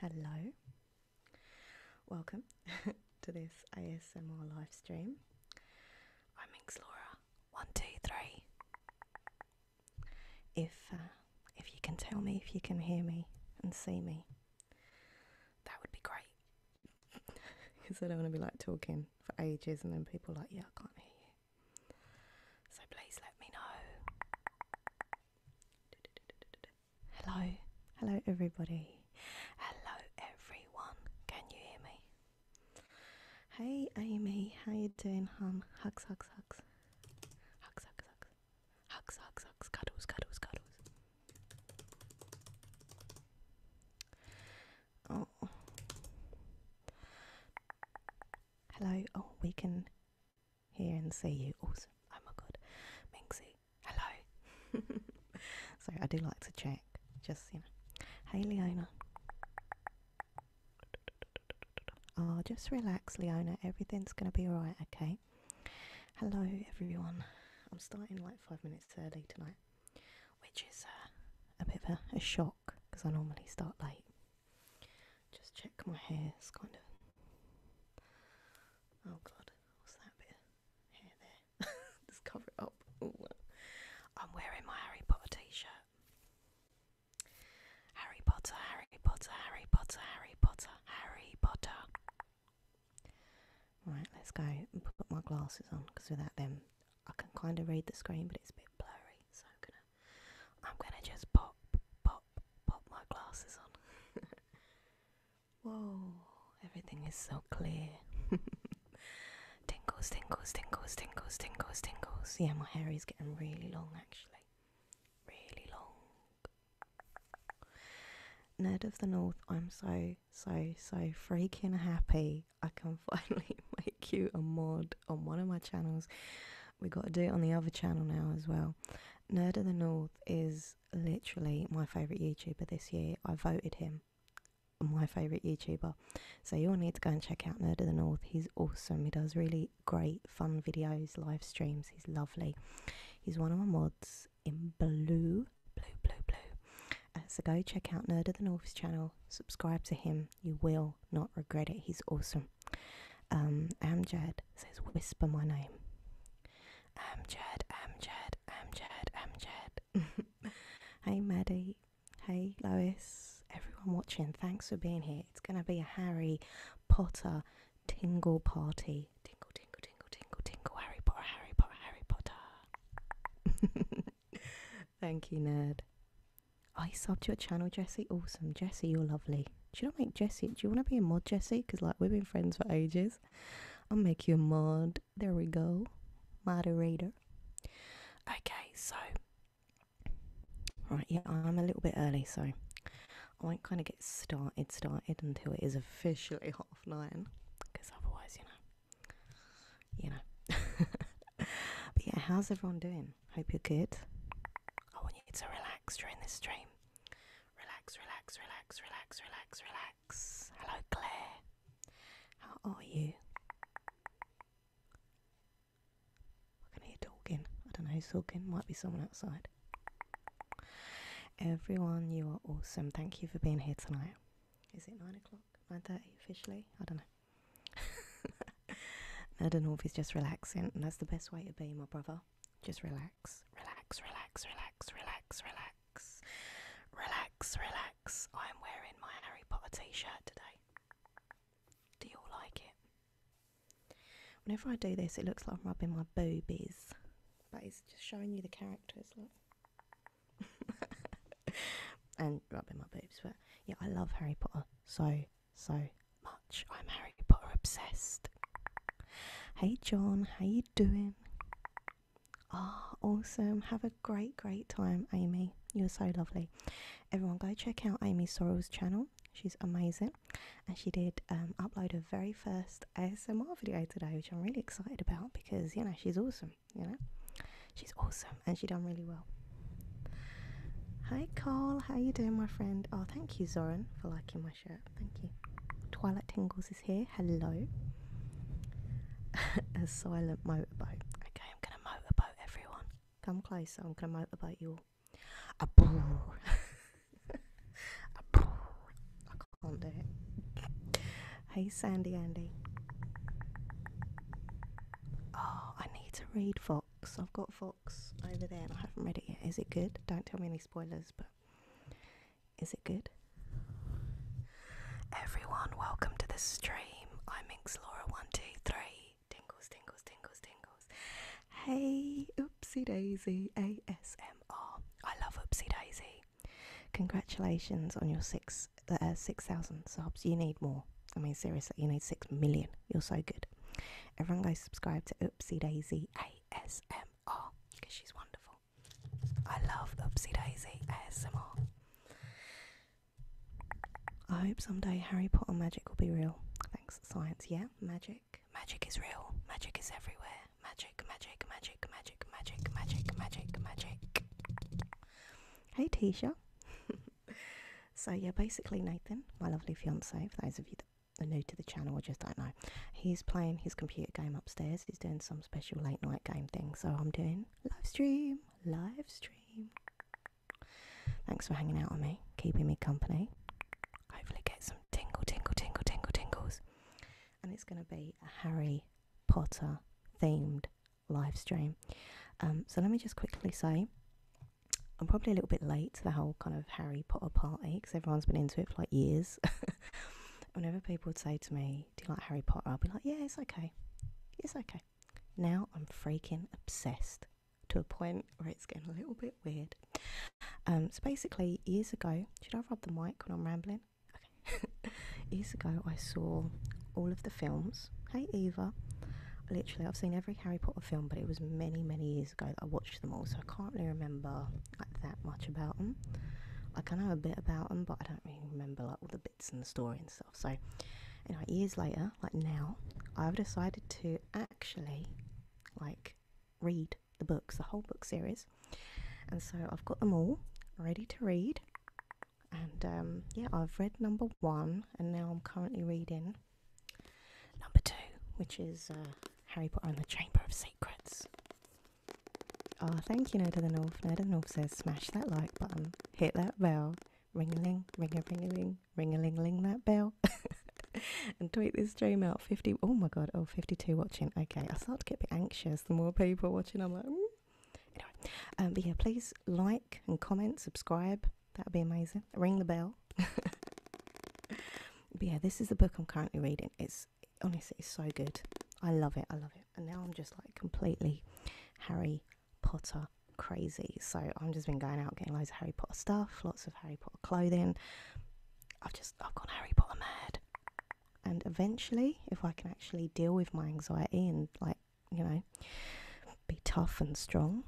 Hello, welcome to this ASMR live stream. I'm Inxlora. One, two, three. If uh, if you can tell me, if you can hear me and see me, that would be great. Because I don't want to be like talking for ages and then people like, yeah, I can't hear you. So please let me know. Hello, hello everybody. Hello everyone. Can you hear me? Hey Amy, how you doing, hon? Hugs, hugs, hugs. Hugs, hugs, hugs. Hugs, hugs, hugs. Cuddles, cuddles, cuddles. Oh. Hello. Oh, we can hear and see you. Awesome. Oh my god. Minxie. Hello. So I do like to check. Just, you know. Hey, Leona. Oh, just relax, Leona. Everything's going to be alright, okay? Hello, everyone. I'm starting like five minutes early tonight, which is uh, a bit of a shock o'clock because I normally start late. Just check my hair, it's kind of. Oh god, what's that bit of hair there? Just cover it up. Ooh. I'm wearing my Harry Potter t shirt. Harry Potter, Harry Potter, Harry Potter, Harry Potter, Harry Potter. Right, let's go and put my glasses on because without them I can kind of read the screen, but it's a bit blurry, so I'm gonna I'm gonna just pop pop pop my glasses on. Whoa, everything is so clear. tingles, tingles, tingles, tingles, tingles, tingles. Yeah, my hair is getting really long actually. Really long. Nerd of the North, I'm so, so, so freaking happy I can finally make you a mod on one of my channels. We got to do it on the other channel now as well. Nerd of the North is literally my favourite YouTuber this year. I voted him my favourite YouTuber. So you'll need to go and check out Nerd of the North. He's awesome. He does really great, fun videos, live streams. He's lovely. He's one of my mods in blue, blue, blue, blue. Uh, so go check out Nerd of the North's channel. Subscribe to him. You will not regret it. He's awesome. Um, Amjad says, whisper my name. Amjad, Amjad, Amjad, Amjad. hey, Maddie. Hey, Lois. Everyone watching, thanks for being here. It's going to be a Harry Potter tingle party. Tingle, tingle, tingle, tingle, tingle. Harry Potter, Harry Potter, Harry Potter. Thank you, nerd. I subbed your channel, Jesse. Awesome, Jesse. You're lovely. Should I make Jesse? Do you want to be a mod, Jesse? Because like we've been friends for ages. I'll make you a mod. There we go, moderator. Okay, so right, yeah, I'm a little bit early, so I won't kind of get started started until it is officially half nine, because otherwise, you know, you know. but yeah, how's everyone doing? Hope you're good. I want you to relax during this stream. Relax, relax, relax, relax, relax, relax. Hello, Claire. How are you? I can hear talking. I don't know who's talking. Might be someone outside. Everyone, you are awesome. Thank you for being here tonight. Is it nine o'clock? Nine thirty officially? I don't know. Erdenhof is just relaxing, and that's the best way to be, my brother. Just relax, relax, relax, relax, relax, relax, relax, relax. I am wearing my Harry Potter T-shirt today. Do you all like it? Whenever I do this, it looks like I'm rubbing my boobies, but it's just showing you the characters. Look. and rubbing my boobs. But yeah, I love Harry Potter so, so much. I'm Harry Potter obsessed. Hey John, how you doing? Ah, awesome. Have a great, great time, Amy. You're so lovely. Everyone, go check out Amy Sorrell's channel. She's amazing. And she did um, upload her very first ASMR video today, which I'm really excited about because, you know, she's awesome you know? She's awesome and she done really well. Hi Carl, how you doing my friend? Oh thank you Zoran for liking my shirt. Thank you. Twilight Tingles is here. Hello. A silent motorboat. Okay, I'm gonna motorboat everyone. Come closer, I'm gonna motorboat you all. A brrr. A brrr. I can't do it. Hey Sandy Andy. Oh, I need to read Vox. I've got Vox over there and I haven't read it yet. Is it good? Don't tell me any spoilers, but is it good? Everyone, welcome to the stream. I'm Inxlora123. Tingles, tingles, tingles, tingles. Hey, Oopsie Daisy ASMR. I love Oopsie Daisy. Congratulations on your sixth uh, six thousand subs. You need more. I mean, seriously, you need six million. You're so good. Everyone go subscribe to Oopsie Daisy ASMR because she's wonderful. I love Oopsie Daisy ASMR. I hope someday Harry Potter magic will be real. Thanks, science. Yeah, magic. Magic is real. Magic is everywhere. Magic, magic, magic, magic, magic, magic, magic, magic. Hey, Tisha. so yeah, basically Nathan, my lovely fiance, for those of you that are new to the channel I just don't know, he's playing his computer game upstairs. He's doing some special late night game thing. So I'm doing live stream, live stream. Thanks for hanging out with me, keeping me company. Hopefully get some tingle, tingle, tingle, tingle, tingles. And it's going to be a Harry Potter themed live stream. Um, so let me just quickly say, I'm probably a little bit late to the whole kind of Harry Potter party because everyone's been into it for like years. Whenever people would say to me, "Do you like Harry Potter?" I'd be like, "Yeah, it's okay, it's okay." Now I'm freaking obsessed to a point where it's getting a little bit weird. Um, so basically, years ago, should I rub the mic when I'm rambling? Okay. years ago, I saw all of the films. Hey Eva. Literally, I've seen every Harry Potter film, but it was many, many years ago that I watched them all, so I can't really remember like, that much about them. I kind of know a bit about them, but I don't really remember like all the bits and the story and stuff. So, anyway, years later, like now, I've decided to actually like read the books, the whole book series, and so I've got them all ready to read. And um, yeah, I've read number one, and now I'm currently reading number two, which is uh, Harry Potter and the Chamber of Secrets. Oh, thank you, Nerd of the North. Nerd of the North says smash that like button, hit that bell, ring a ling, ring a ring a ling, ring a ling ling that bell. and tweet this stream out 50 oh my god oh 52 watching okay i start to get a bit anxious the more people watching i'm like mm. anyway um but yeah please like and comment subscribe That'd be amazing. Ring the bell. but yeah, this is the book I'm currently reading. It's honestly, it's so good. I love it. I love it. And now I'm just like completely Harry Potter crazy. So I'm just been going out getting loads of Harry Potter stuff, lots of Harry Potter clothing. I've just I've gone Harry Potter mad. And eventually, if I can actually deal with my anxiety and like you know, be tough and strong.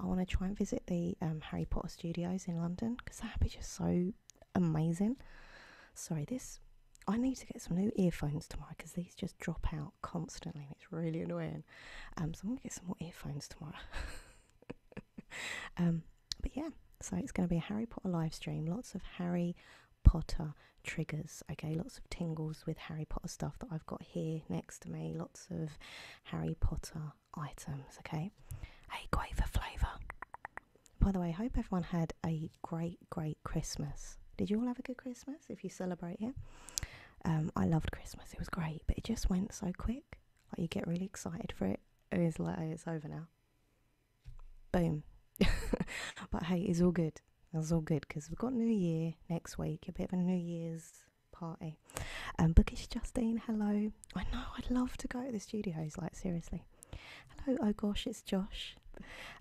I want to try and visit the um, Harry Potter studios in London because that'd be just so amazing. Sorry, this. I need to get some new earphones tomorrow because these just drop out constantly and it's really annoying. Um, so I'm gonna get some more earphones tomorrow. Um, but yeah, so it's gonna be a Harry Potter live stream. Lots of Harry Potter triggers. Okay, lots of tingles with Harry Potter stuff that I've got here next to me, lots of Harry Potter items. Okay, a quaver flavour. By the way, I hope everyone had a great, great Christmas. Did you all have a good Christmas if you celebrate it? Um, I loved Christmas, it was great, but it just went so quick. Like, you get really excited for it, and it's like, it's over now. Boom. but hey, it's all good. That's all good because we've got New Year next week, a bit of a New Year's party. Um, Bookish Justine, hello. I know, I'd love to go to the studios, like, seriously. Hello, oh gosh, it's Josh.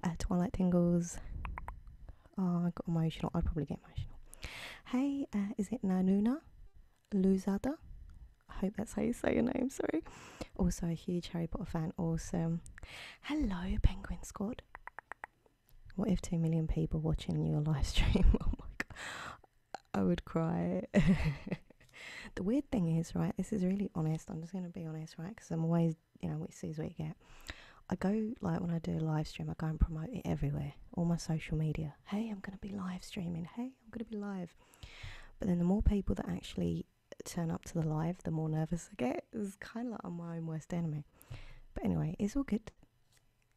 Uh, Twilight Tingles. Oh, I got emotional. I'd probably get emotional. Hey, uh, is it Nanuna? Luzada? I hope that's how you say your name, sorry. Also, a huge Harry Potter fan. Awesome. Hello, Penguin Squad. What if 2 million people watching your live stream? Oh my God, I would cry. the weird thing is, right, this is really honest. I'm just going to be honest, right, because I'm always, you know, what you see is what you get. I go, like, when I do a live stream, I go and promote it everywhere, all my social media. Hey, I'm going to be live streaming. Hey, I'm going to be live. But then the more people that actually turn up to the live, the more nervous I get. It's kind of like my own worst enemy. But anyway, it's all good.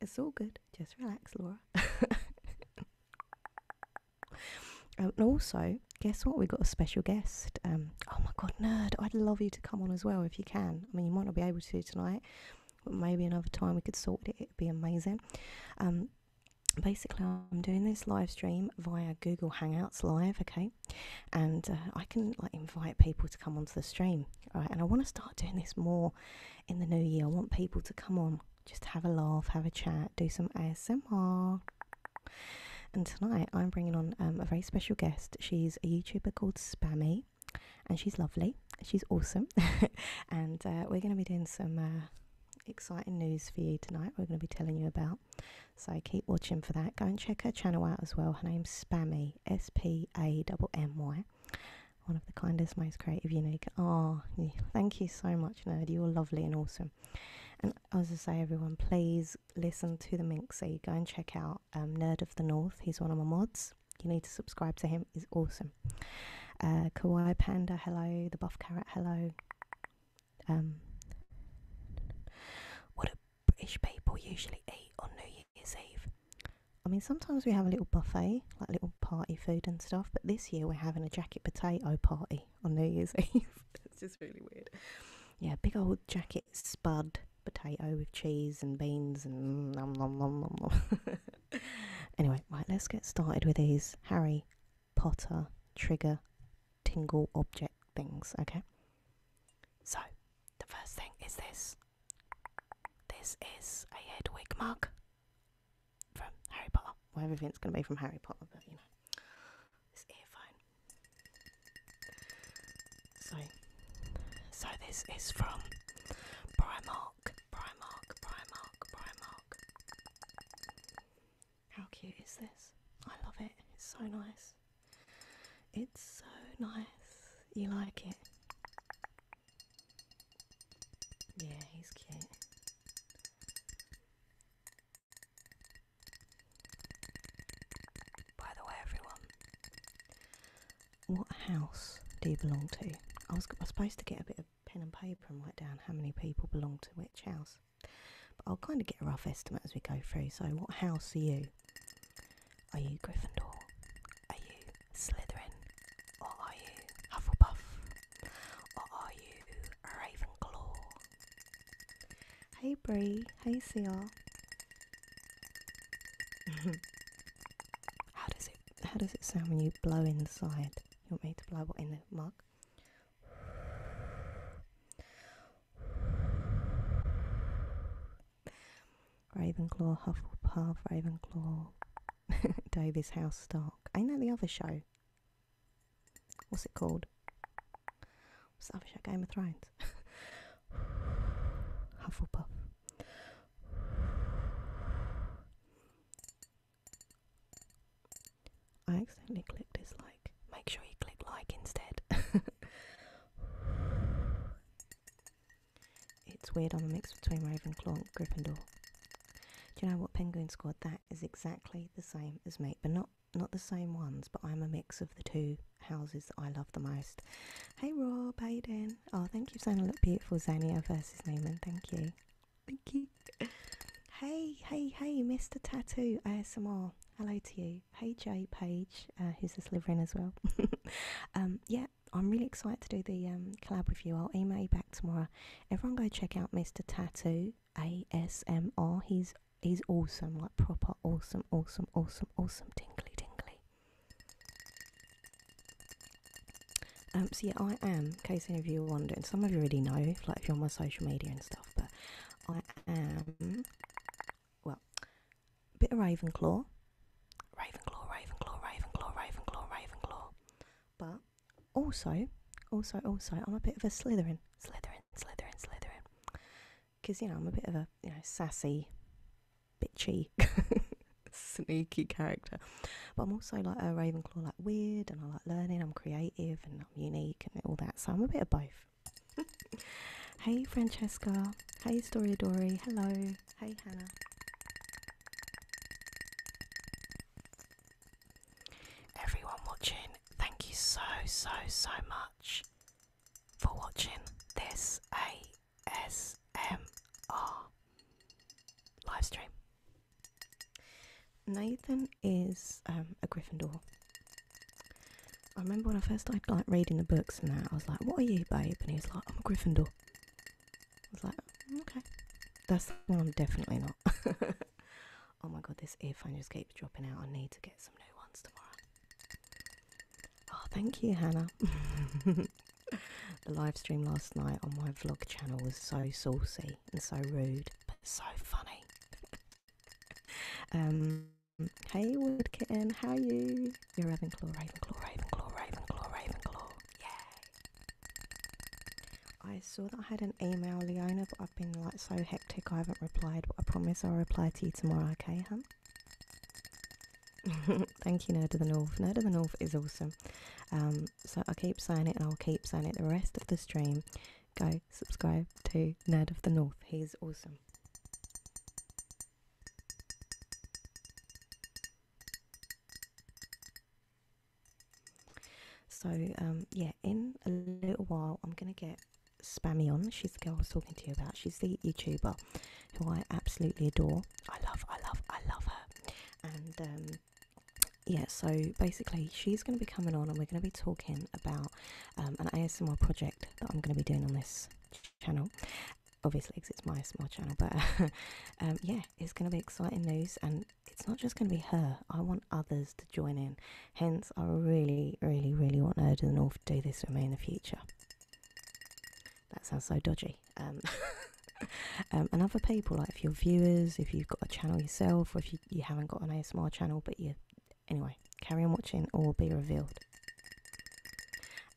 It's all good. Just relax, Laura. um, and also, guess what? We've got a special guest. Um, oh my God, nerd. I'd love you to come on as well if you can. I mean, you might not be able to tonight, but maybe another time we could sort it. It'd be amazing. Um, basically, I'm doing this live stream via Google Hangouts Live, okay? And uh, I can like invite people to come onto the stream, right? And I want to start doing this more in the new year. I want people to come on, just have a laugh, have a chat, do some ASMR. And tonight I'm bringing on um, a very special guest. She's a YouTuber called Spammy, and she's lovely. She's awesome, and uh, we're going to be doing some. Uh, exciting news for you tonight we're going to be telling you about so keep watching for that go and check her channel out as well her name's spammy P S P A double M Y. One of the kindest, most creative, unique. Ah, thank you so much, Nerd. You're lovely and awesome. And as I say, everyone, please listen to the So you Go and check out um, Nerd of the North. He's one of my mods. You need to subscribe to him. He's awesome. Uh, Kawaii Panda, hello. The Buff Carrot, hello. Um, what a British people usually eat on New Year's Eve? I mean, sometimes we have a little buffet, like little party food and stuff, but this year we're having a jacket potato party on New Year's Eve. it's just really weird. Yeah, big old jacket spud potato with cheese and beans and nom nom nom nom nom. anyway, right, let's get started with these Harry Potter trigger tingle object things, okay? So, the first thing is this. This is a Hedwig mug from Harry Potter. Well, it's going to be from Harry Potter, but you know. This earphone. So, so this is from Primark, Primark, Primark, Primark. How cute is this? I love it. It's so nice. It's so nice. You like it? Yeah, he's cute. By the way, everyone, what house do you belong to? I was, I was supposed to get a bit of pen and paper and write down how many people belong to which house. But I'll kind of get a rough estimate as we go through. So, what house are you? Are you Gryffindor? Are you Slytherin? Or are you Hufflepuff? Or are you Ravenclaw? Hey Bree, hey Seal. how does it how does it sound when you blow inside? You want me to blow what in the mug? Ravenclaw, Hufflepuff, Ravenclaw, Davis House Stark. Ain't that the other show? What's it called? What's the Game of Thrones. Hufflepuff. I accidentally clicked dislike. Make sure you click like instead. It's weird, I'm a mix between Ravenclaw and Gryffindor. Do you know what Penguin scored? That is exactly the same as me, but not, not the same ones, but I'm a mix of the two houses that I love the most. Hey Rob, how you doing? Oh, thank you for saying I look beautiful, Xania versus Neiman. Thank you. Thank you. Hey, hey, hey, Mr. Tattoo ASMR. Hello to you hey Page, uh, who's a Slytherin as well. Um, yeah, I'm really excited to do the um, collab with you. I'll email you back tomorrow. Everyone, go check out Mr. Tattoo ASMR. He's he's awesome, like proper awesome, awesome, awesome, awesome, tingly, tingly. Um, so yeah, I am. In case any of you are wondering, some of you already know, like if you're on my social media and stuff, but I am well, bit of Ravenclaw. Ravenclaw, Ravenclaw, Ravenclaw, Ravenclaw, Ravenclaw. But also, also, also, I'm a bit of a Slytherin. Slytherin, Slytherin, Slytherin. Because, you know, I'm a bit of a, you know, sassy, bitchy, sneaky character. But I'm also like a Ravenclaw, like weird, and I like learning, I'm creative, and I'm unique, and all that. So I'm a bit of both. hey Francesca. Hey Story Dory. Hello. Hey Hannah. Everyone watching, thank you so, so, so much for watching this ASMR live stream. Nathan is um, a Gryffindor. I remember when I first started like reading the books and that, I was like, "What are you, babe?" And he was like, "I'm a Gryffindor." I was like, mm, "Okay, that's one I'm definitely not." oh my god, this earphone just keeps dropping out. I need to get some new ones tomorrow. Oh, thank you, Hannah. the live stream last night on my vlog channel was so saucy and so rude, but so funny. um Hey, wood kitten, how are you? You're Ravenclaw, Ravenclaw, Ravenclaw, Ravenclaw, Ravenclaw. Yay! I saw that I had an email, Leona, but I've been like so hectic I haven't replied, but I promise I'll reply to you tomorrow, okay, hun? Thank you, Nerd of the North. Nerd of the North is awesome. Um, so I'll keep saying it and I'll keep saying it the rest of the stream. Go subscribe to Nerd of the North. He's awesome. So, um, yeah, in a little while, I'm going to get Spammy on. She's the girl I was talking to you about. She's the YouTuber who I absolutely adore. I love, I love, I love her. And, um, yeah, so basically, she's going to be coming on and we're going to be talking about um, an ASMR project that I'm going to be doing on this channel obviously it's my small channel but um, yeah it's going to be exciting news and it's not just going to be her i want others to join in hence i really really really want her to the north to do this with me in the future that sounds so dodgy um, um, and other people like if you're viewers if you've got a channel yourself or if you, you haven't got an asmr channel but you anyway carry on watching or be revealed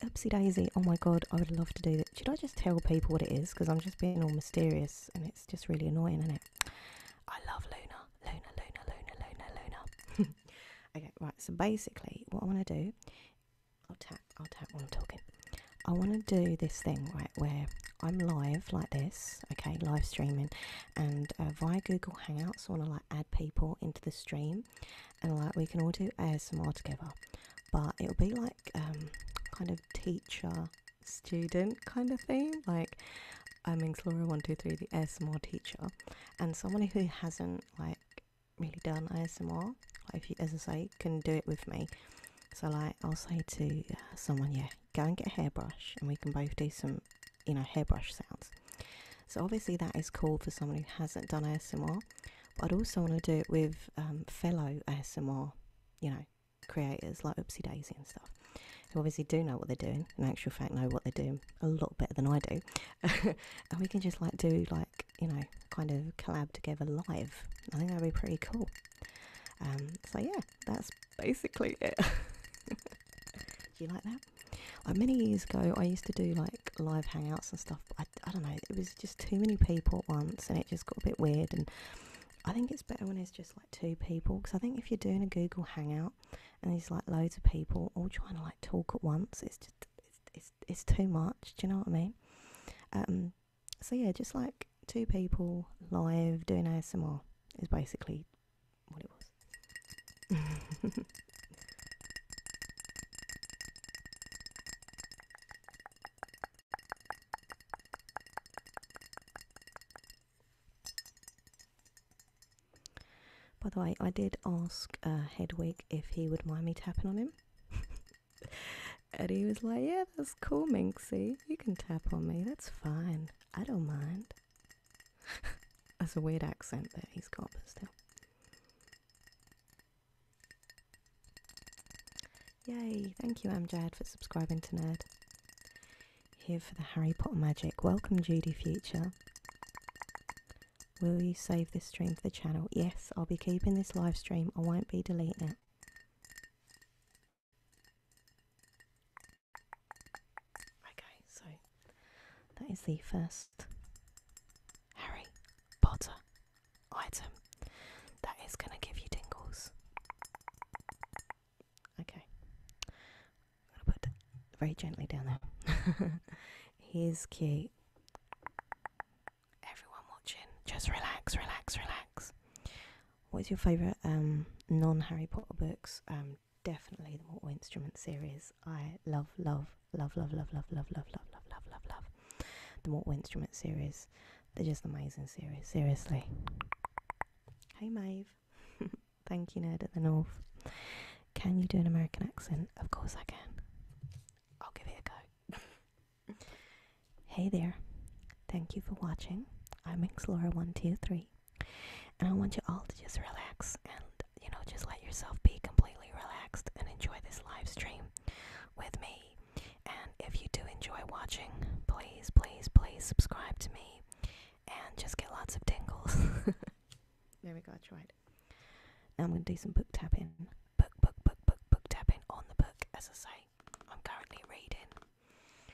Oopsie daisy. Oh my god, I would love to do that. Should I just tell people what it is? Because I'm just being all mysterious and it's just really annoying, is it? I love Luna. Luna, Luna, Luna, Luna, Luna. okay, right. So basically, what I want to do, I'll tap, I'll tap while I'm talking. I want to do this thing, right, where I'm live like this, okay, live streaming, and uh, via Google Hangouts, I want to like add people into the stream, and like we can all do ASMR together, but it'll be like um, kind of teacher student kind of thing. Like I'm in Laura One Two Three, the ASMR teacher, and someone who hasn't like really done ASMR, like if you, as I say, can do it with me. So like I'll say to uh, someone, yeah, go and get a hairbrush, and we can both do some, you know, hairbrush sounds. So obviously that is cool for someone who hasn't done ASMR. But I'd also want to do it with um, fellow ASMR, you know, creators like Oopsie Daisy and stuff, who obviously do know what they're doing, in actual fact, know what they're doing a lot better than I do. and we can just like do like, you know, kind of collab together live. I think that'd be pretty cool. Um, so yeah, that's basically it. do you like that? Like many years ago, I used to do like live hangouts and stuff, but I, don't know, it was just too many people at once and it just got a bit weird. And I think it's better when it's just like two people because I think if you're doing a Google Hangout and there's like loads of people all trying to like talk at once, it's just it's it's, it's too much. Do you know what I mean? Um, so yeah, just like two people live doing ASMR is basically what it was. By the way, I did ask uh, Hedwig if he would mind me tapping on him. and he was like, Yeah, that's cool, Minxie. You can tap on me. That's fine. I don't mind. that's a weird accent that he's got, but still. Yay, thank you Amjad for subscribing to Nerd. Here for the Harry Potter magic. Welcome Judy Future. Will you save this stream for the channel? Yes, I'll be keeping this live stream. I won't be deleting it. Okay, so that is the first Harry Potter item that is going to give you tingles. Okay. I'm put very gently down there. Here's cute. Everyone watching, just relax, relax, relax. What is your favourite um, non Harry Potter books? Um, definitely the Mortal Instruments series. I love, love, love, love, love, love, love, love, love, love, love, love, love. The Mortal Instrument series. They're just amazing series, seriously. Hey Maeve. Thank you, Nerd at the North. Can you do an American accent? Of course I can. I'll give it a go. hey there. Thank you for watching. I'm Xlora123. And I want you all to just relax and you know, just let yourself be completely relaxed and enjoy this live stream with me. And if you do enjoy watching, please, please, please subscribe to me and just get lots of tingles. there we go, I tried. Now I'm going to do some book tapping. Book, book, book, book, book tapping on the book, as I say. I'm currently reading.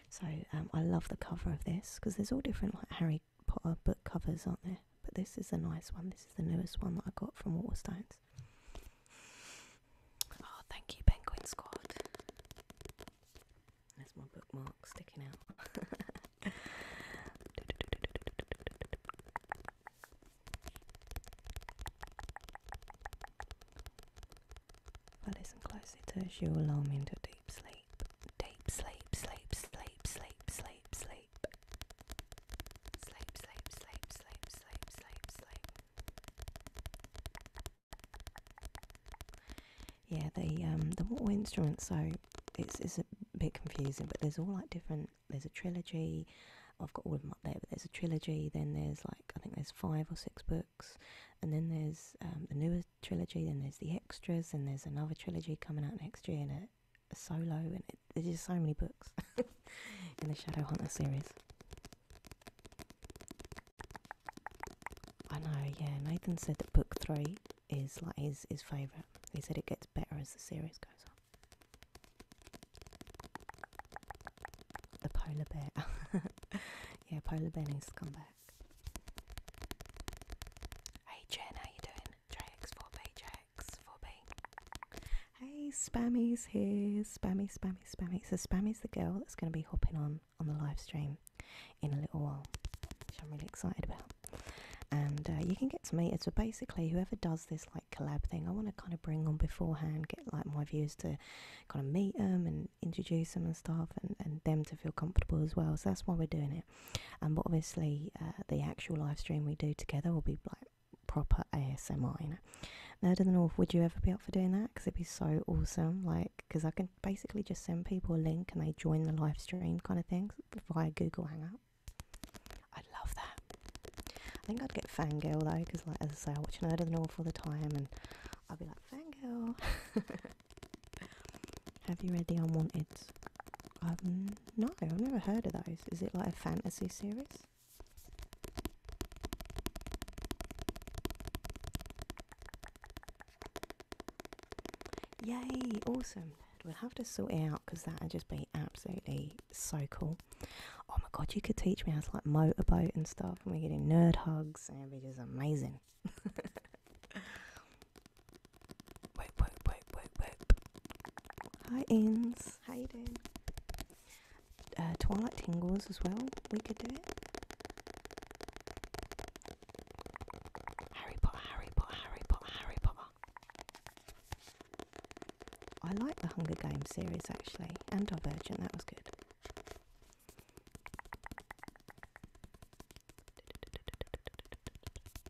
So um, I love the cover of this because there's all different like Harry Potter book covers, aren't there? but this is a nice one. This is the newest one that I got from Waterstones. Oh, thank you, Penguin Squad. There's my bookmark sticking out. If listen closely to her, she into deep sleep. Deep sleep, sleep, sleep, sleep, sleep, sleep. Sleep, sleep, sleep, sleep, sleep, sleep, sleep. Yeah, the um the water instruments. So it's it's a bit confusing, but there's all like different. There's a trilogy. I've got all of them up there, but there's a trilogy. Then there's like I think there's five or six books, and then there's um, the newer trilogy. Then there's the extras, and there's another trilogy coming out next year, in it. Solo, and it, there's just so many books in the Shadowhunter series. I know, yeah. Nathan said that book three is like his his favourite. He said it gets better as the series goes on. The polar bear, yeah, polar bear needs to come back. Hey Jen, how you doing? Jax, 4B, Jax, 4B. Hey, Spammy's here. Spammy, Spammy, Spammy. So Spammy's the girl that's going to be hopping on on the live stream in a little while, which I'm really excited about. And uh, you can get to meet her. So basically, whoever does this like collab thing, I want to kind of bring on beforehand, get like my viewers to kind of meet them and introduce them and stuff, and, and them to feel comfortable as well. So that's why we're doing it. And but obviously, uh, the actual live stream we do together will be like proper ASMR, you know. Nerd of the North, would you ever be up for doing that? Because it'd be so awesome. Like, because I can basically just send people a link and they join the live stream kind of things via Google Hangout. I'd love that. I think I'd get fangirl though, because like as I say, I watch Nerd North all the time, and I'd be like fangirl. Have you read the Unwanted? no, I've never heard of those. Is it like a fantasy series? Yay, awesome. We'll have to sort it out because that would just be absolutely so cool. Oh my god, you could teach me how to like motorboat and stuff, and we're getting nerd hugs, and it amazing. wait, wait, wait, wait, wait. Hi, Inns. Tingles. How you doing? Twilight Tingles as well. We could do it. Harry Potter, Harry Potter, Harry Potter, Harry Potter. I like the Hunger Games series actually, and Divergent. That was good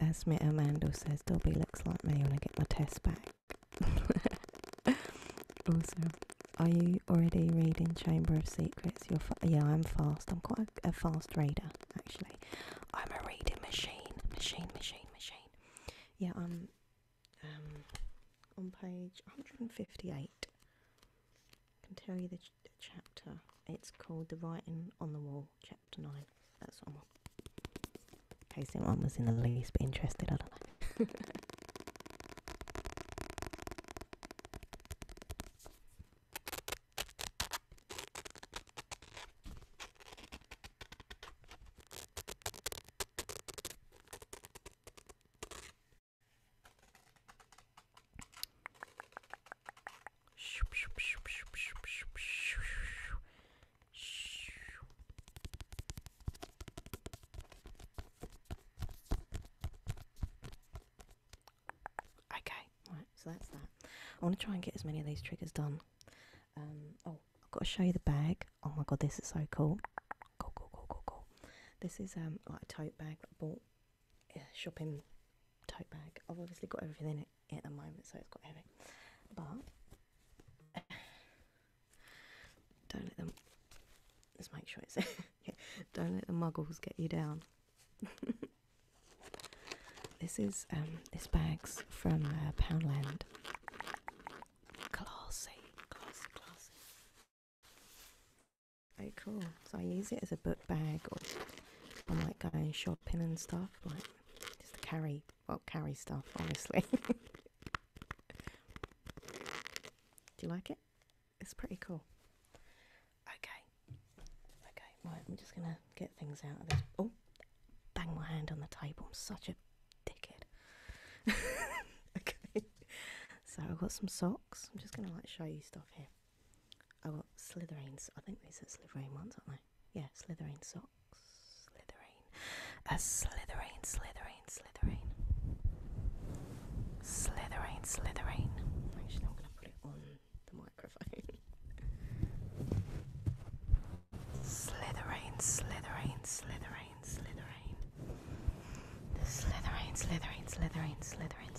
Esme Amando says Dobby looks like me when I get my test back. also, are you already reading Chamber of Secrets? You're yeah, I'm fast. I'm quite a, fast reader actually. I'm a reading machine, machine, machine, machine. Yeah, I'm um, on page 158. I can tell you the chapter. It's called The Writing on the Wall, Chapter 9. That's one. In case anyone was in the least bit interested, I don't know. Okay, right, so that's that. I want to try and get as many of these triggers done. Um, oh, I've got to show you the bag. Oh my god, this is so cool. Cool, cool, cool, cool, cool. This is um like a tote bag that I bought shopping tote bag. I've obviously got everything in it at the moment, so it's quite heavy. But don't let them. Let's make sure it's. don't let the muggles get you down. this is um, this bag's from uh, Poundland. Classy, classy, classy. Very cool. So I use it as a book bag, or I might go shopping and stuff, like just to carry, well, carry stuff, honestly. Do you like it? It's pretty cool. Okay. Okay, right, I'm just gonna get things out of this. Oh, bang my hand on the table. I'm such a dickhead. okay. So I've got some socks. I'm just gonna like show you stuff here. Oh, well, Slytherins. I think these are Slytherin ones, aren't they? Yeah, Slytherin socks. Slytherin. A Slytherin, Slytherin, Slytherin. Slytherin, Slytherin. Actually, I'm going to put it on the microphone. Slytherin, Slytherin, Slytherin, Slytherin. The Slytherin, Slytherin, Slytherin, Slytherin.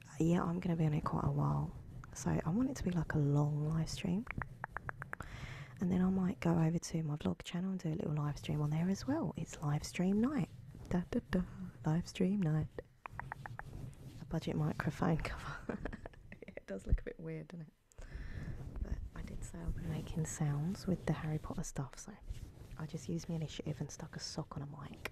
yeah, I'm going to be on it quite a while. So I want it to be like a long live stream. And then I might go over to my vlog channel and do a little live stream on there as well. It's live stream night. Da, da, da. Live stream night. A budget microphone cover. it does look a bit weird, doesn't it? But I did say I'll be making sounds with the Harry Potter stuff, so I just used my initiative and stuck a sock on a mic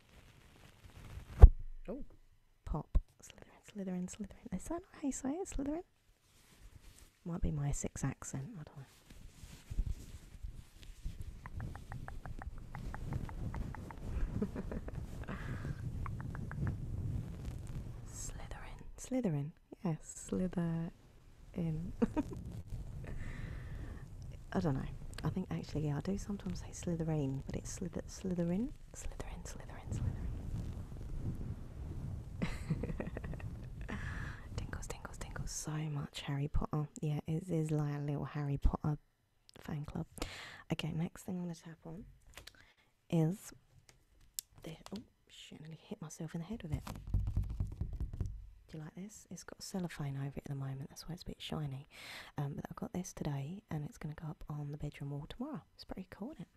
Oh. Pop. Slytherin, Slytherin, Slytherin. Is that how you say it? Slytherin? Might be my six accent. I don't know. Slytherin. Slytherin. Yes, slither in. I don't know. I think actually yeah, I do sometimes say Slytherin, but it's slither, Slytherin, Slytherin, Slytherin, Slytherin. tingles, tingles, tingles. So much Harry Potter. Yeah, it is like a little Harry Potter fan club. Okay, next thing I'm gonna tap on is this. Oh shit! I to hit myself in the head with it. Do you like this? It's got cellophane over it at the moment, that's why it's a bit shiny. Um, but I've got this today, and it's going to go up on the bedroom wall tomorrow. It's pretty cool, isn't it?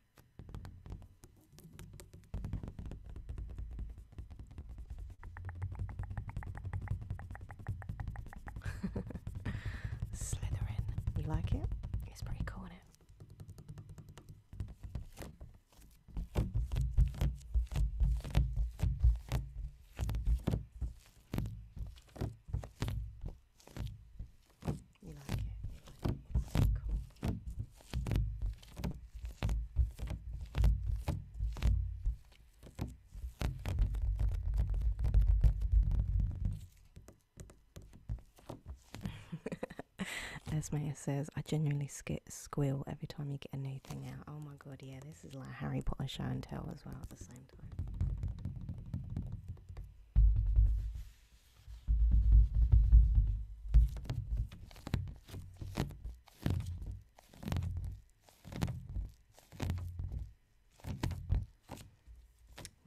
Slytherin. You like it? It's pretty cool, isn't it? You As Maya says, I genuinely squeal every time you get a new thing out. Oh my god, yeah, this is like Harry Potter show and tell as well at the same time.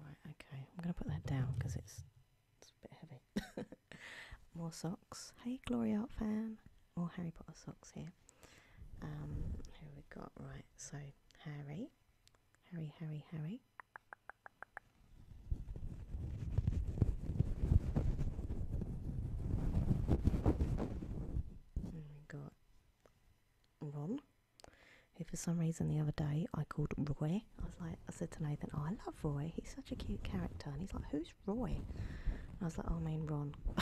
Right, okay, I'm going to put that down because it's, it's a bit heavy. More socks. Hey, Glory Art fan. More Harry Potter socks here. Um, who we got? Right, so Harry. Harry, Harry, Harry. And we got Ron, who for some reason the other day I called Roy. I was like, I said to Nathan, oh, I love Roy. He's such a cute character. And he's like, who's Roy? I was like, oh, I mean Ron uh.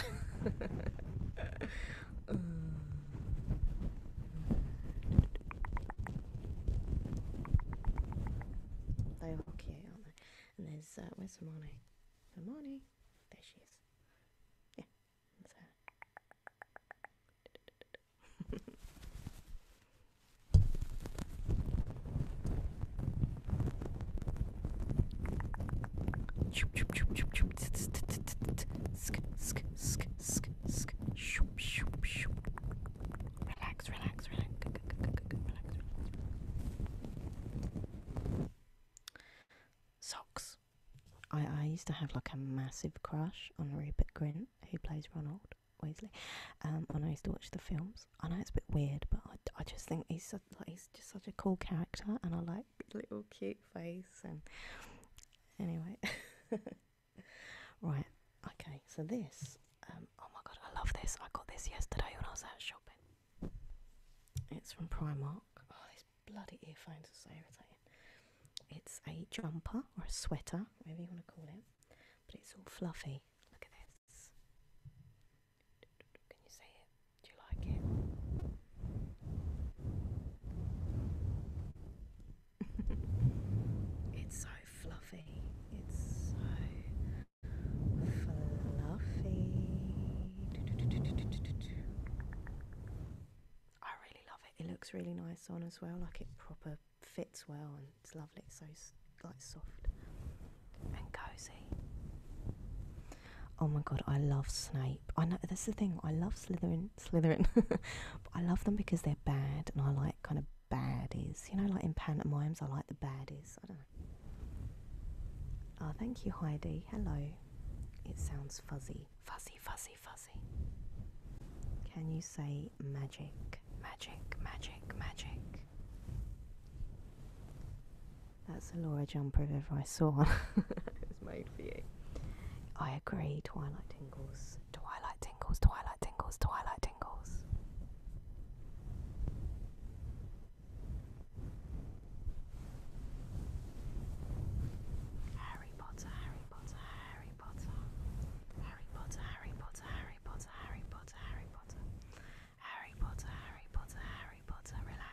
They hockey, aren't they? And there's uh, where's Hermione? Hermione, there she is. Yeah, Relax, relax, relax. Socks. I, I used to have like a massive crush on Rupert Grint, who plays Ronald Weasley, um, and I used to watch the films. I know it's a bit weird, but I, I just think he's so, like, he's just such a cool character, and I like little cute face and anyway right okay so this um, oh my god i love this i got this yesterday when i was out shopping it's from primark oh these bloody earphones are so irritating it's a jumper or a sweater whatever you want to call it but it's all fluffy look at this can you see it do you like it? it's so fluffy. It's so fluffy. I really love it. It looks really nice on as well. Like it proper fits well and it's lovely. It's so like soft and cozy. Oh my god, I love Snape. I know This is the thing. I love Slytherin, Slytherin, I love them because they're bad, and I like kind of badies. You know, like in pantomimes, I like the badies. I don't know. Oh, thank you, Heidi. Hello. It sounds fuzzy, fuzzy, fuzzy, fuzzy. Can you say magic, magic, magic, magic? That's a Laura jumper if ever I saw one. it was made for you. I agree, Twilight Tingles. Twilight Tingles, Twilight Tingles, Twilight Tingles. Harry Potter. Harry Potter, Harry Potter, Harry Potter, Harry Potter, Harry Potter. Harry Potter, Harry Potter, Harry Potter, relax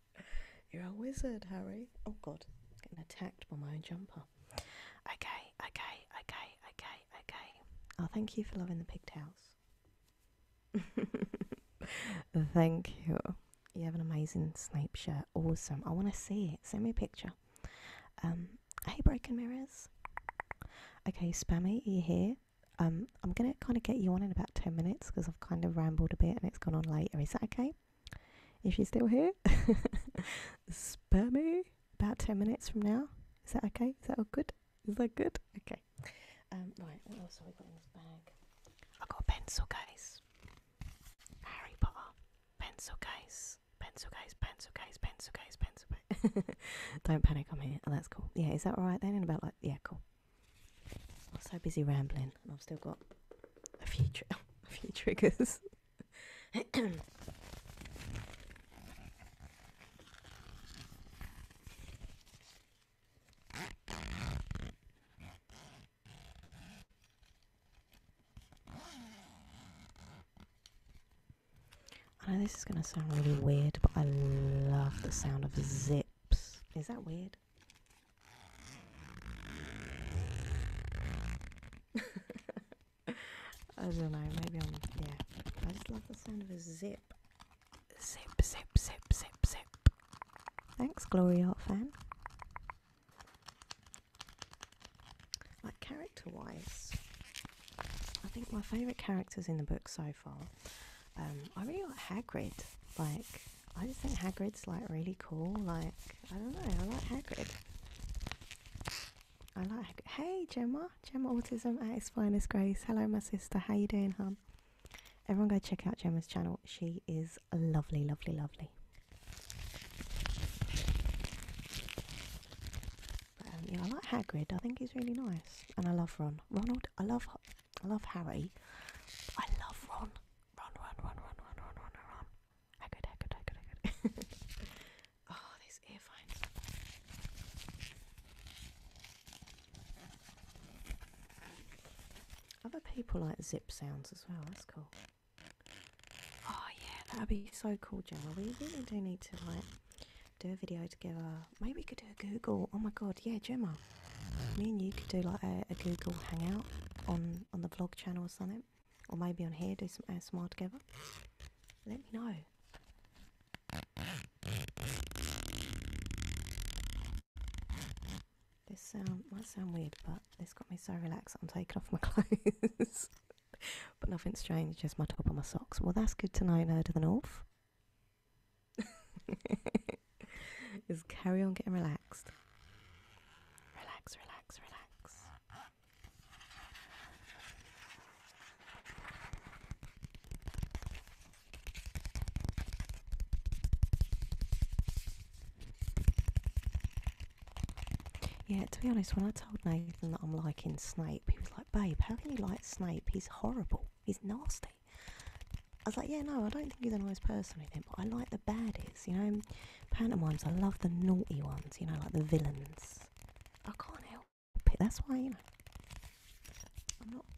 You're a wizard, Harry. Oh god, getting attacked by my own jumper. Okay, okay, okay, okay, okay. Oh, thank you for loving the pigtails. thank you. You have an amazing Snape shirt. Awesome. I want to see it. Send me a picture. Um, hey, Broken Mirrors. Okay, Spammy, are you here? Um, I'm going to kind of get you on in about 10 minutes because I've kind of rambled a bit and it's gone on later. Is that okay? If you're still here, spare me about 10 minutes from now. Is that okay? Is that all good? Is that good? Okay. Um, right, what else have I got in this bag? I've got a pencil case. Harry Potter. Pencil case. Pencil case, pencil case, pencil case, pencil case. Don't panic, I'm here. Oh, that's cool. Yeah, is that alright then? In about like, yeah, cool. I am so busy rambling, and I've still got a few a few triggers. I know this is going to sound really weird, but I love the sound of zips. Is that weird? I don't know, maybe I'm, yeah. I just love the sound of a zip. Zip, zip, zip, zip, zip. Thanks, Glory Art fan. Like, character wise, I think my favourite characters in the book so far, um, I really like Hagrid. Like, I just think Hagrid's like really cool. Like I don't know, I like Hagrid. I like Hey Gemma, Gemma Autism at its finest grace. Hello my sister, how you doing, hum? Everyone go check out Gemma's channel. She is lovely, lovely, lovely. Um, yeah, I like Hagrid. I think he's really nice, and I love Ron. Ronald, I love, I love Harry. I love Ron. Run, run, run, run, run, run, run, run. I could, I could, I could, I could. oh, these earphones. Other people like zip sounds as well, that's cool. Oh yeah, that would be so cool, Gemma. We really do need to like do a video together. Maybe we could do a Google. Oh my god, yeah, Gemma. Me and you could do like a, Google Hangout on on the vlog channel or something, or maybe on here do some ASMR uh, together. Let me know. This sound might sound weird, but this got me so relaxed. I'm taking off my clothes, but nothing strange. Just my top and my socks. Well, that's good to know, nerd of the north. is carry on getting relaxed. Relax, relax, relax. Yeah, to be honest, when I told Nathan that I'm liking Snape, he was like, Babe, how can you like Snape? He's horrible. He's nasty. I was like, yeah, no, I don't think he's a nice person or anything, but I like the baddies, you know, pantomimes. I love the naughty ones, you know, like the villains. I can't help it. That's why, you know,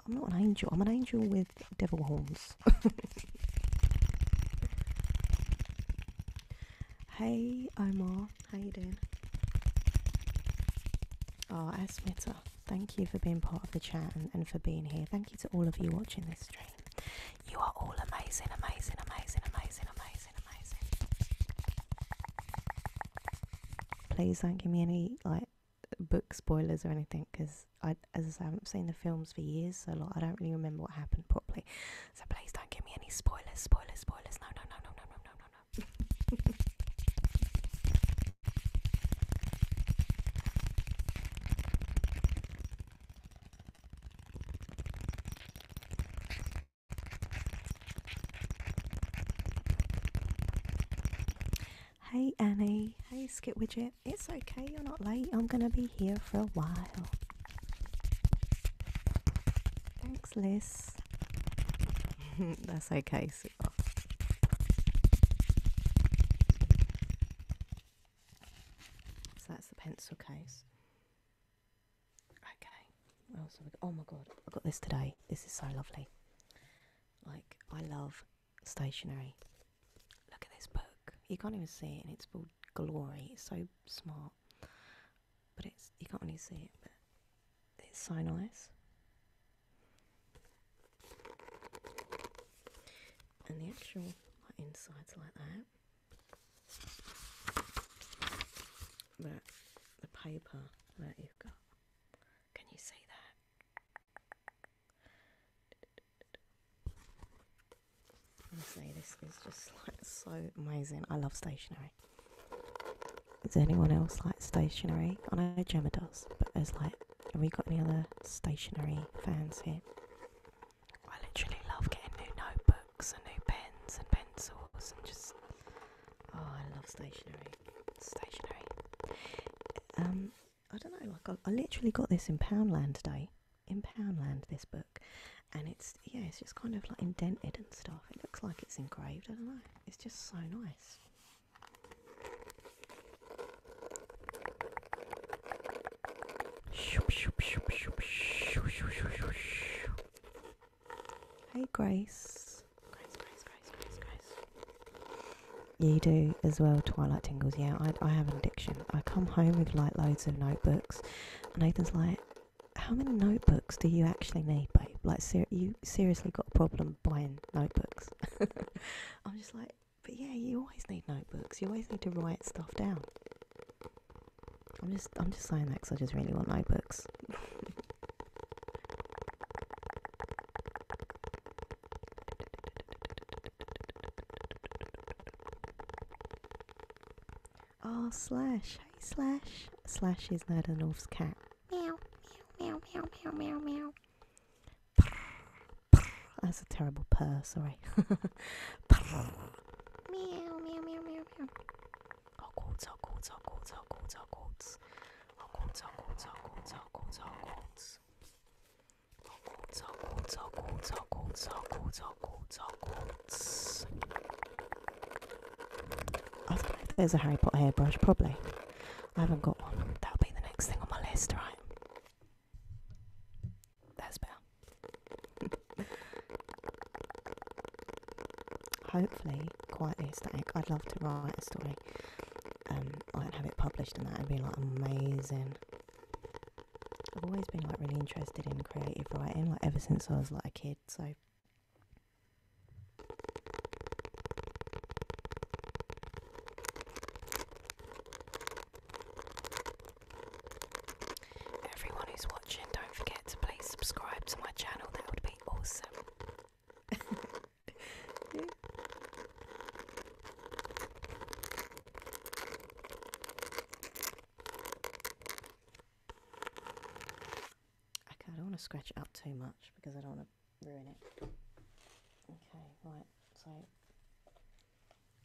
I'm not, an angel. I'm an angel with devil horns. hey, Omar, how you doing? Oh, Asmita, thank you for being part of the chat and for being here. Thank you to all of you watching this stream. You are all amazing, amazing, amazing, amazing, amazing, amazing. Please don't give me any like book spoilers or anything because I, as I say, I haven't seen the films for years, so like I don't really remember what happened properly. So please don't give me any spoilers, spoilers, spoilers. No, no, no, no, no, no, no, no, no. Hey Annie, hey Skip Widget. It's okay, you're not late. I'm gonna be here for a while. Thanks, Liz. That's okay, Super. So that's the pencil case. Okay. Oh my god, I got this today. This is so lovely. Like, I love stationery. Look at this book. You can't even see it, and it's called Glory. It's so smart. But it's, you can't really see it, but it's so nice and the actual like, insides like that. That the paper that you've got. Can you see that? Honestly, this is just like so amazing. I love stationery. Is anyone else like stationery? I know Gemma does, but there's like, have we got any other stationery fans here? I literally love getting new notebooks and new pens and pencils and just. Oh, I love stationery. Stationery. Um, I don't know. Like I, I literally got this in Poundland today. In Poundland, this book, and it's yeah, it's just kind of like indented and stuff. It looks like it's engraved. I don't know. It's just so nice. Hey, Grace. Grace, Grace, Grace, Grace, Grace. You do as well, Twilight Tingles. Yeah, I, I have an addiction. I come home with like loads of notebooks, and Nathan's like, how many notebooks do you actually need, babe? Like, ser- you seriously got a problem buying notebooks? I'm just like, but yeah, you always need notebooks. You always need to write stuff down. I'm just I'm just saying that because I just really want notebooks. oh, Slash. Hey, Slash. Slash is Nerda North's cat. That's a terrible purr, sorry. meow, meow, meow, meow, meow. Hogwarts, Hogwarts, Hogwarts, Hogwarts, Hogwarts. Hogwarts, Hogwarts, Hogwarts, Hogwarts, Hogwarts. Hogwarts, Hogwarts, Hogwarts, Hogwarts, Hogwarts, Hogwarts, Hogwarts. I don't know if there's a Harry Potter hairbrush, probably. I haven't got one. That'll be the next thing on my list, right? That's better. Hopefully, quietly static. I'd love to write a story um, and have it published, and that would be like amazing. I've always been like really interested in creative writing, like ever since I was like a kid. So Everyone who's watching, don't forget to please subscribe to my channel, that would be awesome. Okay, I don't want to scratch it up too much because I don't want to ruin it. Okay, right, so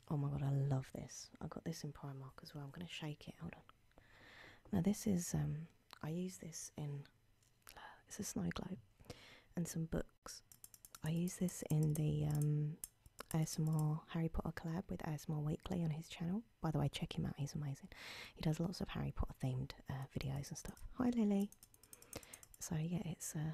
Oh my god, I love this. I got this in Primark as well. I'm going to shake it. Hold on. Now, this is, um, I use this in, uh, it's a snow globe and some books. I use this in the um, ASMR Harry Potter collab with ASMR Weekly on his channel. By the way, check him out, he's amazing. He does lots of Harry Potter themed uh, videos and stuff. Hi, Lily. So, yeah, it's uh,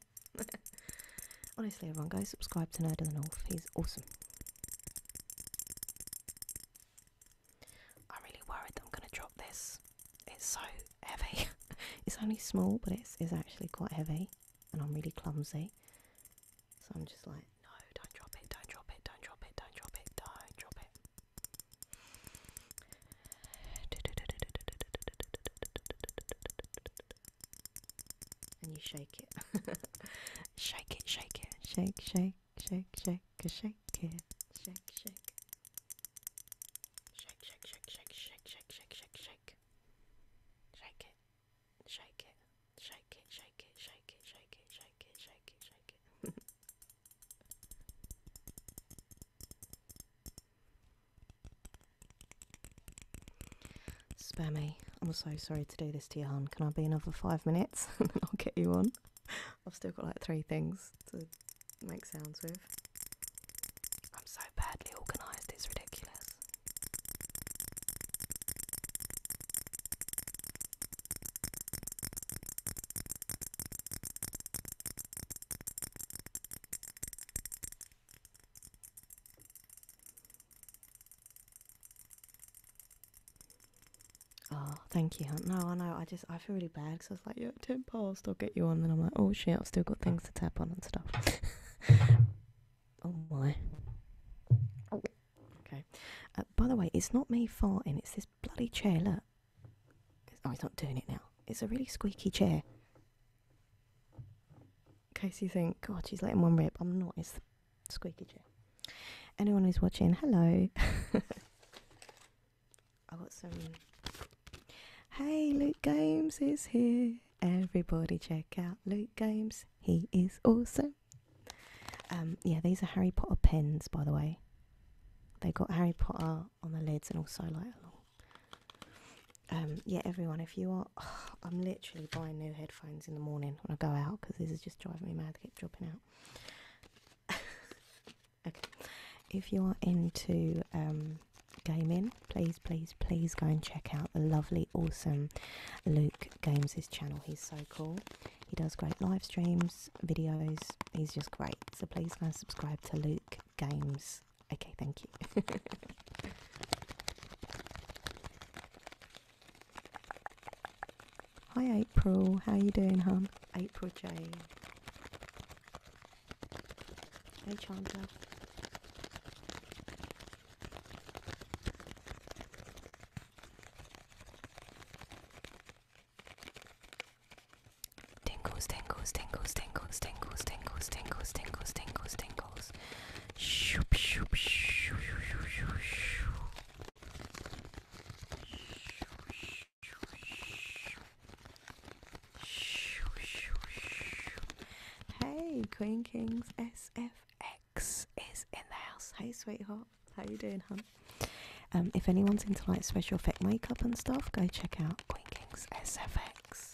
Honestly, everyone, guys, subscribe to Nerd of the North. He's awesome. I'm really worried that I'm going to drop this. It's so heavy. it's only small, but it's, it's actually quite heavy. And I'm really clumsy. So I'm just like, no, don't drop it, don't drop it, don't drop it, don't drop it, don't drop it and you shake it. shake it, shake it, shake, shake, shake, shake, shake it, shake, shake. Shake, shake, shake, shake, shake, shake, shake, shake, shake. Shake it, shake it, shake it, shake it, shake it, shake it, shake it, shake it, shake it. Spare me. I'm so sorry to do this to you, hon. Can I be another five minutes I'll get you on? I've still got like three things to make sounds with. I'm so badly organised, it's ridiculous. Oh, thank you. No, I know. I just I feel really bad because I was like, you yeah, ten past, I'll get you on. Then I'm like, oh shit, I've still got things to tap on and stuff. oh my. Okay. Uh, by the way, it's not me farting. It's this bloody chair. Look. oh, it's not doing it now. It's a really squeaky chair. In case you think, God, she's letting one rip. I'm not. It's squeaky chair. Anyone who's watching, hello. I got some. Hey, Luke Games is here. Everybody, check out Luke Games. He is awesome. Um, yeah, these are Harry Potter pens, by the way. They got Harry Potter on the lids and also like along um, yeah, everyone, if you are, I'm literally buying new headphones in the morning when I go out because this is just driving me mad. They keep dropping out. okay, if you are into um, gaming, please, please, please go and check out the lovely, awesome Luke Games' channel. He's so cool. He does great live streams, videos. He's just great. So please go and subscribe to Luke Games Okay, thank you. Hi April, how you doing, hon? April J. Hey Chandler. Tingles, tingles, tingles, tingles, tingles, tingles, tingles, tingles, tingles, tingles. Shoop, shoop, shoo, shoo, shoo, shoo. Hey, Queen Kings SFX is in the house. Hey, sweetheart, how you doing, hon? Um, if anyone's into like special effect makeup and stuff, go check out Queen Kings SFX.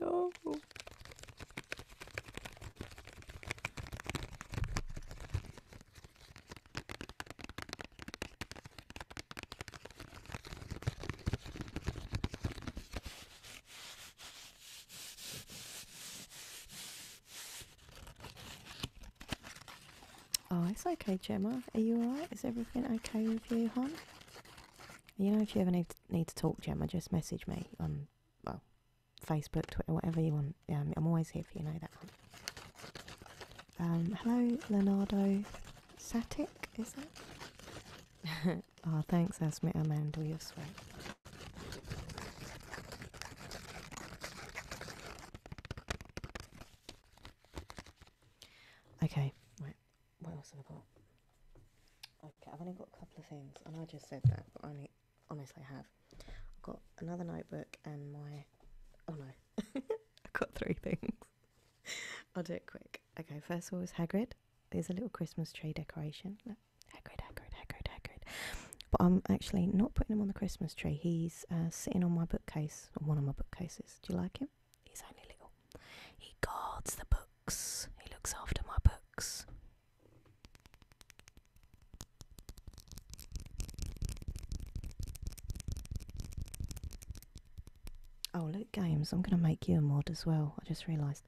No. Oh. oh, it's okay, Gemma. Are you alright? Is everything okay with you, hon? You know, if you have any need to talk, Gemma, just message me on well, Facebook, Twitter, whatever you want. Um, I'm always here for you, know that. Um, hello, Leonardo Satic, is that? oh, thanks, that's me, Amanda, you're sweet. Okay, what else have I got? Okay, I've only got a couple of things. I I just said that, but I only honestly I have. I've got another notebook and my oh no. I've got three things. I'll do it quick. Okay, first of all is Hagrid. There's a little Christmas tree decoration. Hagrid, Hagrid, Hagrid, Hagrid. But I'm actually not putting him on the Christmas tree. He's uh, sitting on my bookcase, on one of my bookcases. Do you like him? He's only little. He guards the books. He looks after my books. Oh, look, Games, I'm going to make you a mod as well. I just realised.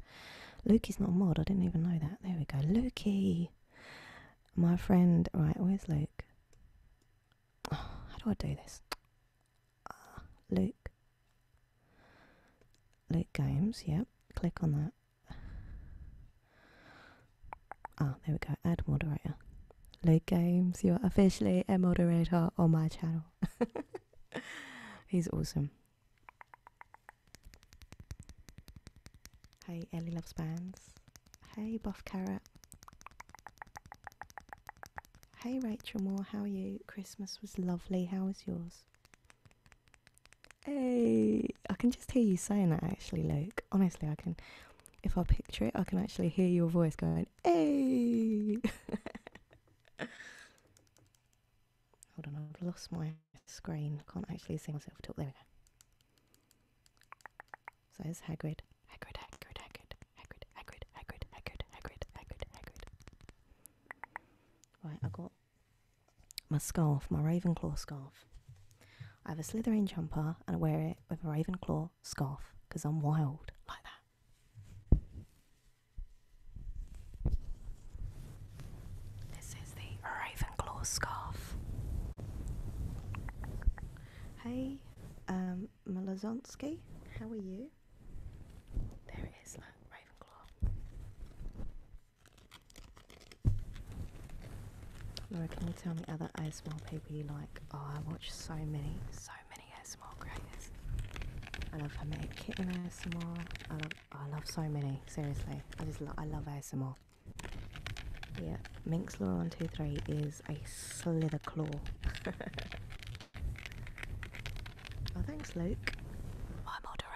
Luke is not a mod, I didn't even know that. There we go. Lukey! My friend. Right, where's Luke? Oh, how do I do this? Uh, Luke. Luke Games, yep. Click on that. Ah, oh, there we go. Add moderator. Luke Games, you're officially a moderator on my channel. He's awesome. Hey, Ellie loves bands. Hey, Buff Carrot. Hey, Rachel Moore, how are you? Christmas was lovely. How was yours? Hey, eh, I can just hear you saying that actually, Luke. Honestly, I can. If I picture it, I can actually hear your voice going, hey. Hold on, I've lost my screen. I can't actually see myself talk. There we go. So it's Hagrid. Hagrid, Hagrid, Hagrid, Hagrid, Hagrid, Hagrid, Hagrid, Hagrid, Hagrid, Hagrid. Right, I got my scarf, my Ravenclaw scarf. I have a Slytherin jumper and I wear it with a Ravenclaw scarf because I'm wild like that. This is the Ravenclaw scarf. Hey, um, Malazonsky, how are you? blue. There it is, look, Ravenclaw. can you tell me other ASMR people you like? Oh, I watch so many, so many ASMR creators. I love Hermetic Kitten ASMR. I love, I love so many. Seriously, I just, lo I love ASMR. Yeah, Minx Laura one two three is a slither claw. Well, oh, thanks, Luke. My moderator,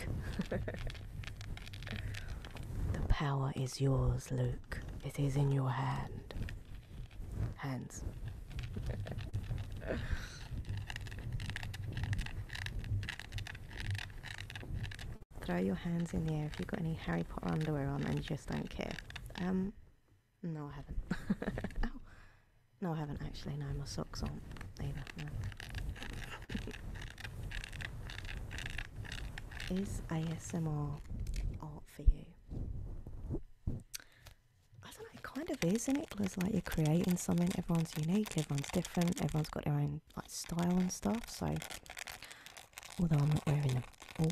Luke. the power is yours, Luke. It is in your hand. Hands. Throw your hands in the air if you've got any Harry Potter underwear on and you just don't care. Um, no, I haven't. Oh. No, I haven't actually. No, my socks aren't either. Is ASMR art for you? I don't know. It kind of is, isn't it? Because like you're creating something. Everyone's unique. Everyone's different. Everyone's got their own like style and stuff. So, although I'm not wearing them all.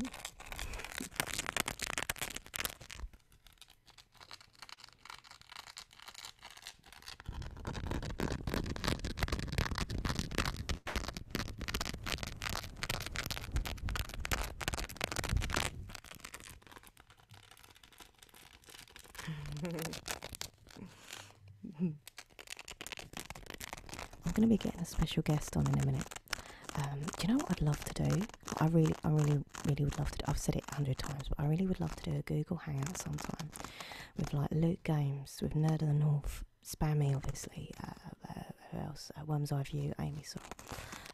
I'm going to be getting a special guest on in a minute. Um, you know what I'd love to do? I really, I really really would love to. Do, I've said it a hundred times, but I really would love to do a Google Hangout sometime with like Loot Games, with Nerd of the North, Spammy, obviously. Uh, uh who else? Uh, Worm's Eye View, Amy Saw.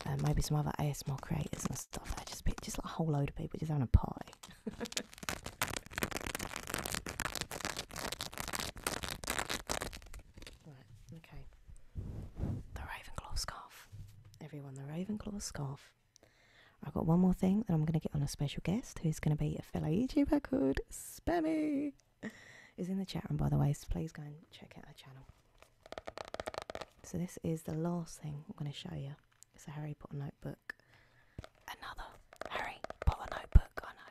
Uh, maybe some other ASMR creators and stuff. There. Just, just like a whole load of people just having a party. right. Okay. The Ravenclaw scarf. Everyone, the Ravenclaw scarf. I've got one more thing that I'm going to get on a special guest who's going to be a fellow YouTuber called Spammy. Is in the chat room, by the way, so please go and check out her channel. So, this is the last thing I'm going to show you. It's a Harry Potter notebook. Another Harry Potter notebook, I know.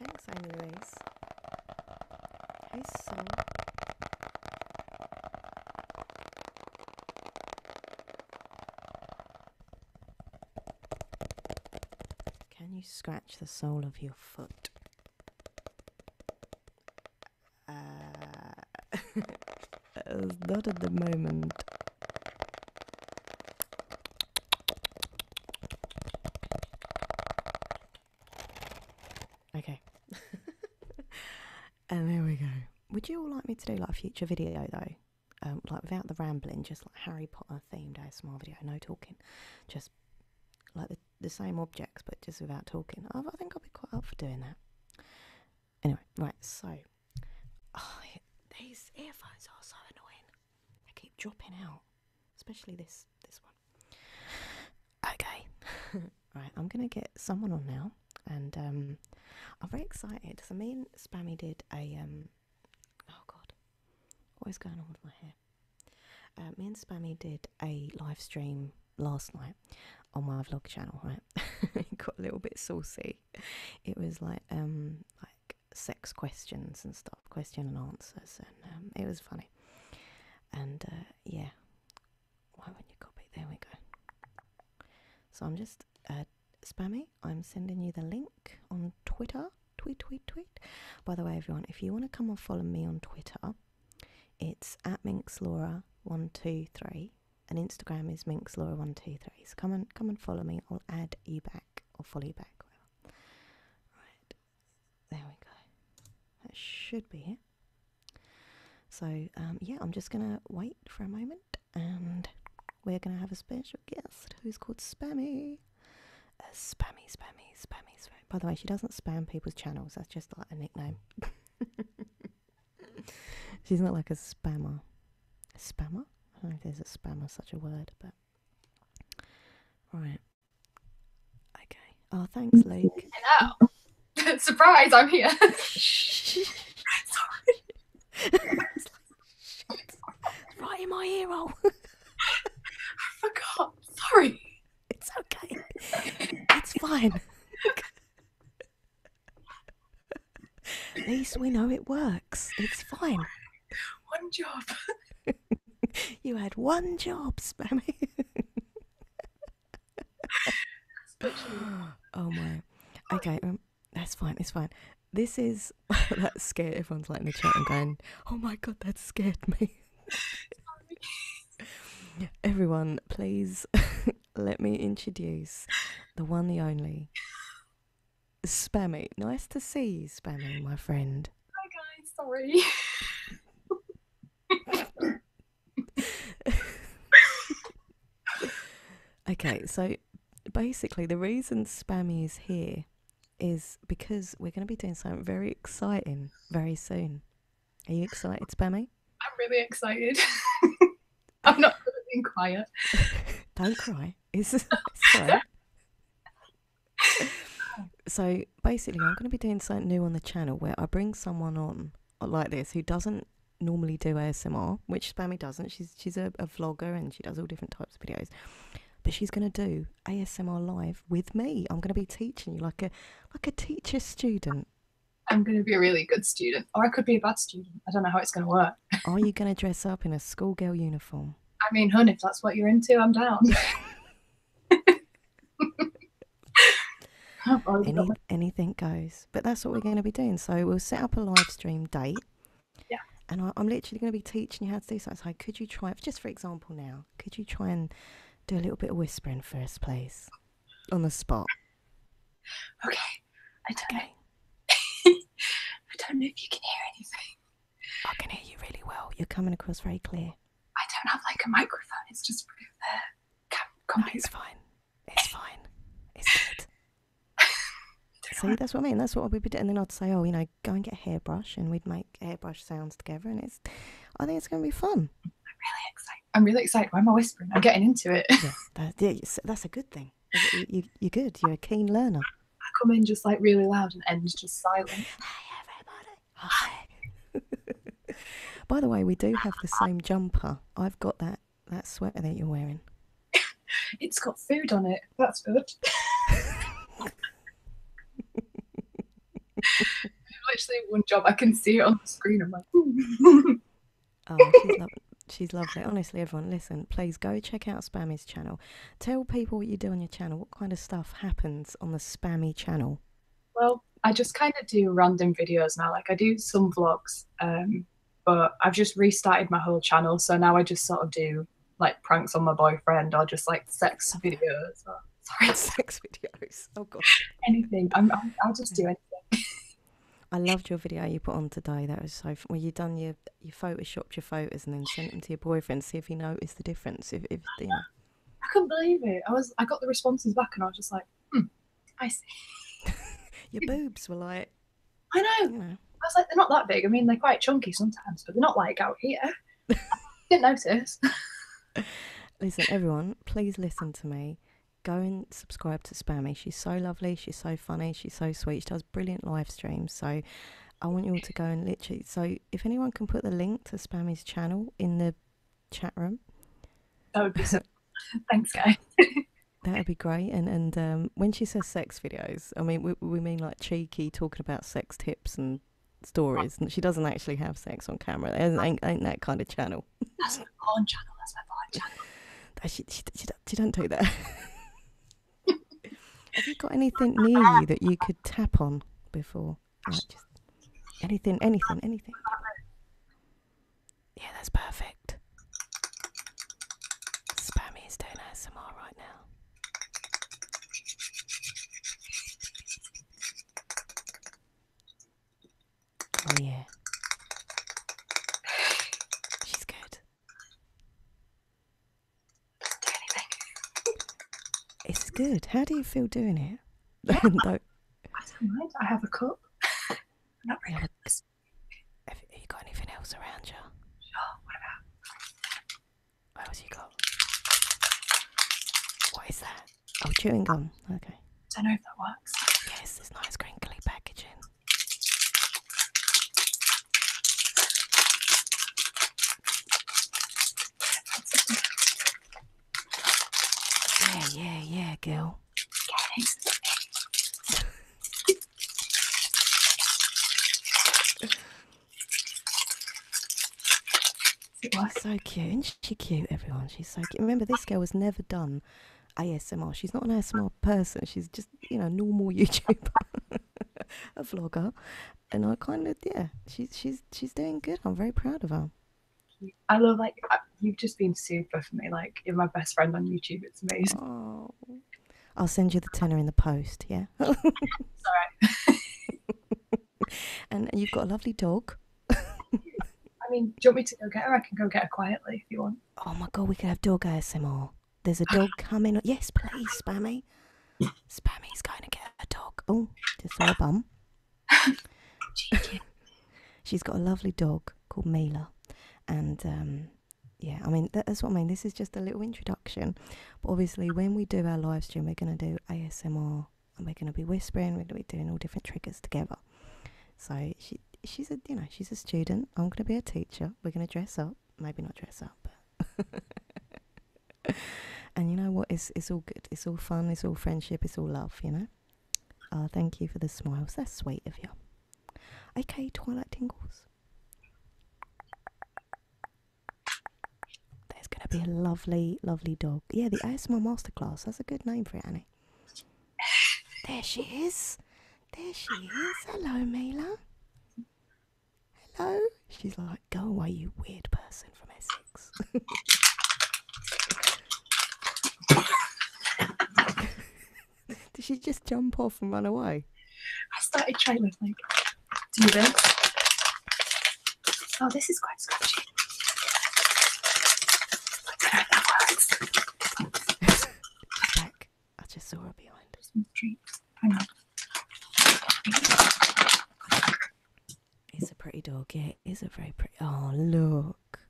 Thanks, Amy Lace. Hey, son. Can you scratch the sole of your foot? Uh, uh not at the moment. Okay. and there we go. Would you all like me to do like a future video though? Um, like without the rambling, just like Harry Potter themed ASMR video, no talking, just like the, same objects but just without talking. I think I'll be quite up for doing that. Anyway, right, so oh, these earphones are so annoying. They keep dropping out, especially this this one. Okay, right, I'm gonna get someone on now, and um, I'm very excited. So me and Spammy did a um, oh god, what is going on with my hair? Uh, me and Spammy did a live stream last night on my vlog channel, right? it got a little bit saucy it was like um like sex questions and stuff, question and answers, and um, it was funny. And uh, yeah, why wouldn't you copy? There we go. So I'm just uh, spamming. I'm sending you the link on Twitter. Tweet, tweet, tweet. By the way, everyone, if you want to come and follow me on Twitter, it's at minx laura 123 and Instagram is minkslaura123. So come and come and follow me. I'll add you back or follow you back. Right, there we go. That should be it. So um, yeah, I'm just gonna wait for a moment, and we're gonna have a special guest who's called Spammy. Uh, spammy, spammy, spammy, spammy. By the way, she doesn't spam people's channels. That's just like a nickname. She's not like a spammer. spammer? I don't know if there's a spammer such a word, but right. Okay. Oh, thanks, Luke. Hello. Surprise! I'm here. Sorry. right in my ear oh. I forgot. Sorry. It's okay. It's fine. At least we know it works. It's fine. One job. you had one job, Spammy. oh my. Okay, um, that's fine. It's fine. This is that scared. Everyone's liking the chat and going, "Oh my god, that scared me." Everyone, please let me introduce the one, the only Spammy. Nice to see you, Spammy, my friend. Hi guys, sorry. okay, so basically the reason Spammy is here is because we're going to be doing something very exciting very soon. Are you excited, Spammy? I'm really excited. I'm not good being quiet. Don't cry. It's, it's so basically, I'm going to be doing something new on the channel where I bring someone on like this who doesn't normally do ASMR, which Spammy doesn't. She's she's a, a vlogger and she does all different types of videos. But she's going to do ASMR live with me. I'm going to be teaching you like a like a teacher student. I'm going to be a really good student, or I could be a bad student. I don't know how it's going to work. Are you going to dress up in a schoolgirl uniform? I mean, hun, if that's what you're into, I'm down. anything goes. But that's what we're going to be doing. So we'll set up a live stream date. Yeah. And I, am literally going to be teaching you how to do something. So could you try, just for example now, could you try and do a little bit of whispering first, us, please? On the spot. Okay. I don't know. I don't know if you can hear anything. I can hear you really well. You're coming across very clear. I don't have like a microphone. It's just the cam- no, it's fine. It's fine. It's good. See, that's what I mean. That's what we'd be And then I'd say, oh, you know, go and get a hairbrush, and we'd make hairbrush sounds together. And it's, I think it's going to be fun. I'm really excited. I'm really excited. Why am I whispering? I'm getting into it. yeah, that's a good thing. You, you're good. You're a keen learner. I come in just like really loud and end just silent. Hi, everybody. Hi. By the way, we do have the same jumper. I've got that that sweater that you're wearing. it's got food on it. That's good. Literally, one job I can see it on the screen. I'm like, Oh, she's, lovely. Honestly, everyone, listen, please go check out Spammy's channel. Tell people what you do on your channel. What kind of stuff happens on the Spammy channel? Well, I just kind of do random videos now. Like I do some vlogs, um, but I've just restarted my whole channel. So now I just sort of do like pranks on my boyfriend or just like sex videos. Oh, sorry, sex videos. Oh gosh, Anything. i will just do it. I loved your video you put on today. That was so. Fun. you done your your photoshopped your photos and then sent them to your boyfriend see if he noticed the difference. If, if you I couldn't believe it. I was I got the responses back and I was just like, hmm, I see. your boobs were like. I know. I was like, they're not that big. I mean, they're quite chunky sometimes, but they're not like out here. Didn't notice. listen, everyone, please listen to me go and subscribe to Spammy. She's so lovely. She's so funny. She's so sweet. She does brilliant live streams. So I want you all to go and literally. So if anyone can put the link to Spammy's channel in the chat room, that would be so. Thanks, guys. that would be great. And and um, when she says sex videos, I mean we we mean like cheeky talking about sex tips and stories. And she doesn't actually have sex on camera. There ain't, ain't that kind of channel. That's my porn channel. That's my porn channel. she, she, she, don't do that. Have you got anything near you that you could tap on before? anything, anything, anything. Yeah, that's perfect. Spammy is doing ASMR right now. Oh yeah. She's good. It's good. How do you feel doing it? I don't mind. I have a cup. I'm not really. Have, have you got anything else around you? What about? What else you got? What is that? Oh, chewing gum. Okay. I don't know if that works. Yes, it's nice crinkly packaging. Yeah, yeah, yeah, girl. so cute. Isn't she cute, everyone? She's so cute. Remember, this girl was never done ASMR. She's not an ASMR person. She's just, you know, normal YouTuber, a vlogger. And I kind of, yeah, she's, she's, she's doing good. I'm very proud of her. I love, like, you've just been super for me. Like, you're my best friend on YouTube. It's amazing. Oh. I'll send you the tenner in the post, yeah? all right. and you've got a lovely dog. I mean, do you want me to go get her? I can go get her quietly if you want. Oh my god, we could have doggy dog ASMR. There's a dog coming. Yes, please, Spammy. Spammy's going to get a dog. Oh, just saw a bum. She's got a lovely dog called Mila. And um, yeah, I mean, that's what I mean. This is just a little introduction. But obviously, when we do our live stream, we're going to do ASMR and we're going to be whispering, we're going to be doing all different triggers together. So she, she's a you know she's a student. I'm gonna be a teacher. We're gonna dress up. Maybe not dress up, but and you know what? It's it's all good. It's all fun. It's all friendship. It's all love. You know. Ah, thank you for the smiles. That's sweet of you. Okay, Twilight Tingles. There's gonna be a lovely, lovely dog. Yeah, the ASMR Masterclass. That's a good name for Annie. There she is. There she is. Hello, Mila. Hello. She's like, go away, you weird person from Essex. Did she just jump off and run away? I started trying like do this. Oh, this is quite scratchy. Back I just saw her behind. Hang on. It's a pretty dog, it is a very pretty oh look.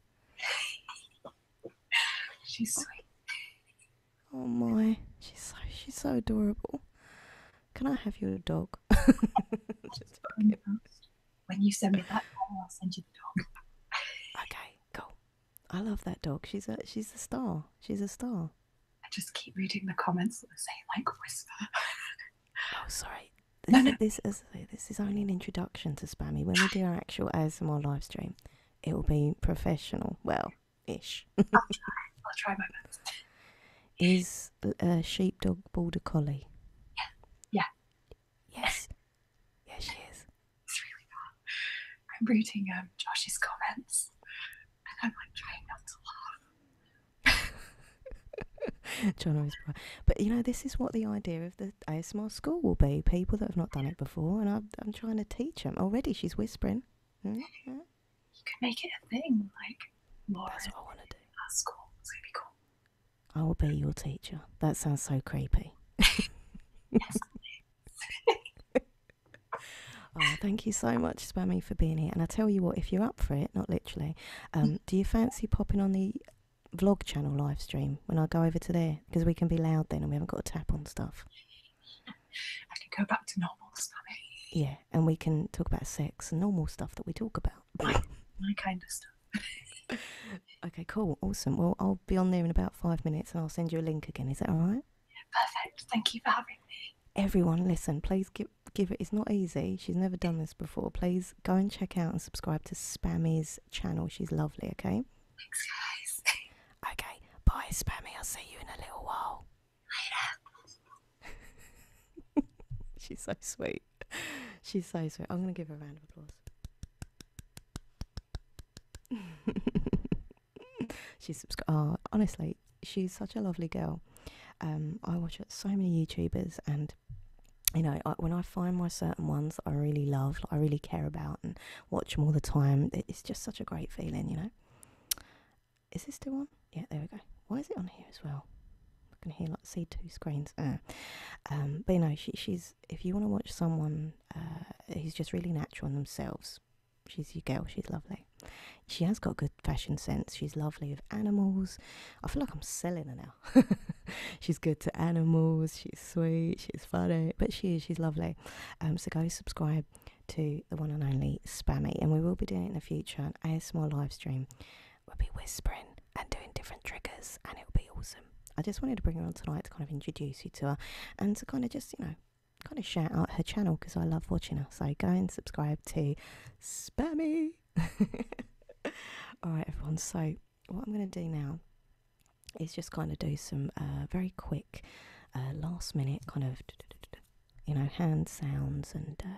she's sweet. Oh my. She's so she's so adorable. Can I have your dog? when you send me that, I'll send you the dog. okay, go. I love that dog. She's a she's a star. She's a star. I just keep reading the comments that say like whisper. oh, sorry. This, is only an introduction to Spammy. When we do our actual ASMR live stream, it will be professional. Well, ish. I'll, try. I'll try my best. Is a sheepdog border collie? Yeah. Yeah. Yes. Yeah, she is. It's really bad. I'm reading um, Josh's comments and I'm like trying not to laugh. John always bright. But you know, this is what the idea of the ASMR school will be. People that have not done it before, and I'm, trying to teach them. Already she's whispering. Mm, you mm. could make it a thing, like more. That's what I want to do. At school, it's going to be cool. I will be your teacher. That sounds so creepy. yes, oh, thank you so much, Spammy, for being here. And I tell you what, if you're up for it, not literally, um, do you fancy popping on the vlog channel live stream when I go over to there? Because we can be loud then and we haven't got to tap on stuff. I can go back to normal, Spammy. Yeah, and we can talk about sex and normal stuff that we talk about. my kind of stuff. okay, cool. Awesome. Well, I'll be on there in about five minutes and I'll send you a link again. Is that all right? Perfect. Thank you for having me. Everyone, listen, please give, give it. It's not easy. She's never done this before. Please go and check out and subscribe to Spammy's channel. She's lovely, okay? Thanks, guys. okay, bye, Spammy. I'll see you in a little while. Later. She's so sweet. She's so sweet. I'm going to give her a round of applause. she's subscribed. Oh, honestly, she's such a lovely girl. Um, I watch so many YouTubers, and you know, when I find my certain ones that I really love, I really care about, and watch them all the time, it's just such a great feeling, you know. Is this still on? Yeah, there we go. Why is it on here as well? I can hear like see two screens. Ah. um, but you know, she, she's if you want to watch someone uh, who's just really natural in themselves, she's your girl. She's lovely. She has got good fashion sense. She's lovely with animals. I feel like I'm selling her now. she's good to animals. She's sweet. She's funny. But she is. She's lovely. Um, so go subscribe to the one and only Spammy. And we will be doing it in the future And as more live stream. We'll be whispering and doing different triggers. And it'll be awesome. I just wanted to bring her on tonight to kind of introduce you to her and to kind of just, you know, kind of shout out her channel because I love watching her. So go and subscribe to Spammy. All right, everyone. So what I'm going to do now is just kind of do some uh, very quick, uh, last minute kind of, you know, hand sounds and. Uh,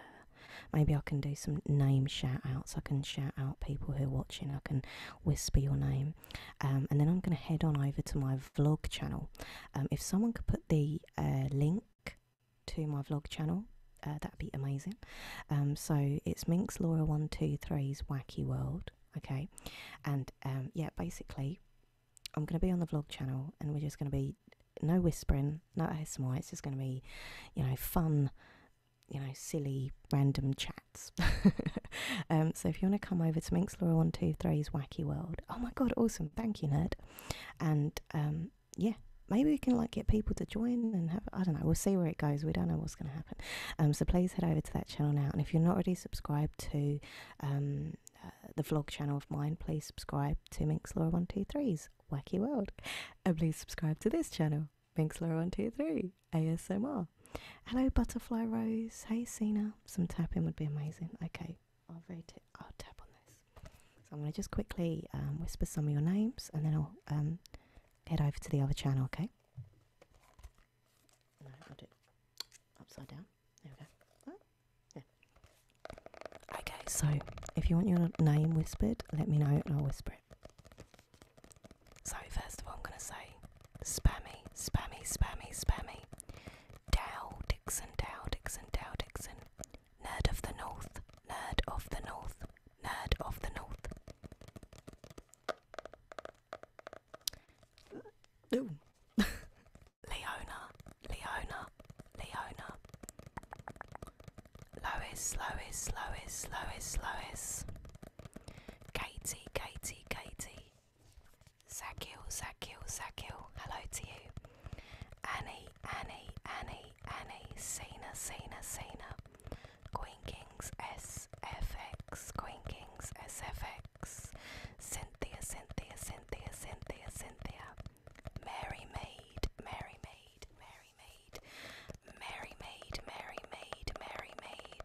maybe I can do some name shout outs. I can shout out people who are watching. I can whisper your name um, and then I'm going to head on over to my vlog channel. Um, if someone could put the uh, link to my vlog channel, uh, that'd be amazing. Um, so it's Minx Laura123's Wacky World. Okay. And yeah, basically, I'm going to be on the vlog channel and we're just going to be no whispering, no ASMR. It's just going to be, you know, fun, you know, silly, random chat. Um, so if you want to come over to Minxlaw123's Wacky World, oh my god, awesome! Thank you, nerd. And um, yeah, maybe we can like get people to join and have I don't know. We'll see where it goes. We don't know what's going to happen. Um, so please head over to that channel now. And if you're not already subscribed to uh, the vlog channel of mine, please subscribe to Minxlaw123's Wacky World, and please subscribe to this channel, Minxlaw123 ASMR. Hello, butterfly rose. Hey, Cena. Some tapping would be amazing. Okay, I'll rate it. I'll tap on this. So I'm going to just quickly um, whisper some of your names, and then I'll um, head over to the other channel. Okay. No, i it upside down. There we go. Oh, okay, so if you want your name whispered, let me know and I'll whisper it. So, first of all, I'm going to say spammy, spammy, spammy, spammy. Dow, Dixon, Dow, Dixon, Dow, Dixon. Nerd of the North, nerd of the North, nerd of the North. Ooh. Leona, Leona, Leona. Lois, Lois, Lois, Lois, Lois. Katie, Katie, Katie. Zakil, Zakil, Zakil, hello to you. Annie, Annie, Annie, Annie, Sana, Sana, Sana. Queen Kings SFX, Queen Kings SFX. Cynthia, Cynthia, Cynthia, Cynthia, Cynthia. Mary Maid, Mary Maid, Mary Maid. Mary Maid, Mary Maid, Mary Maid.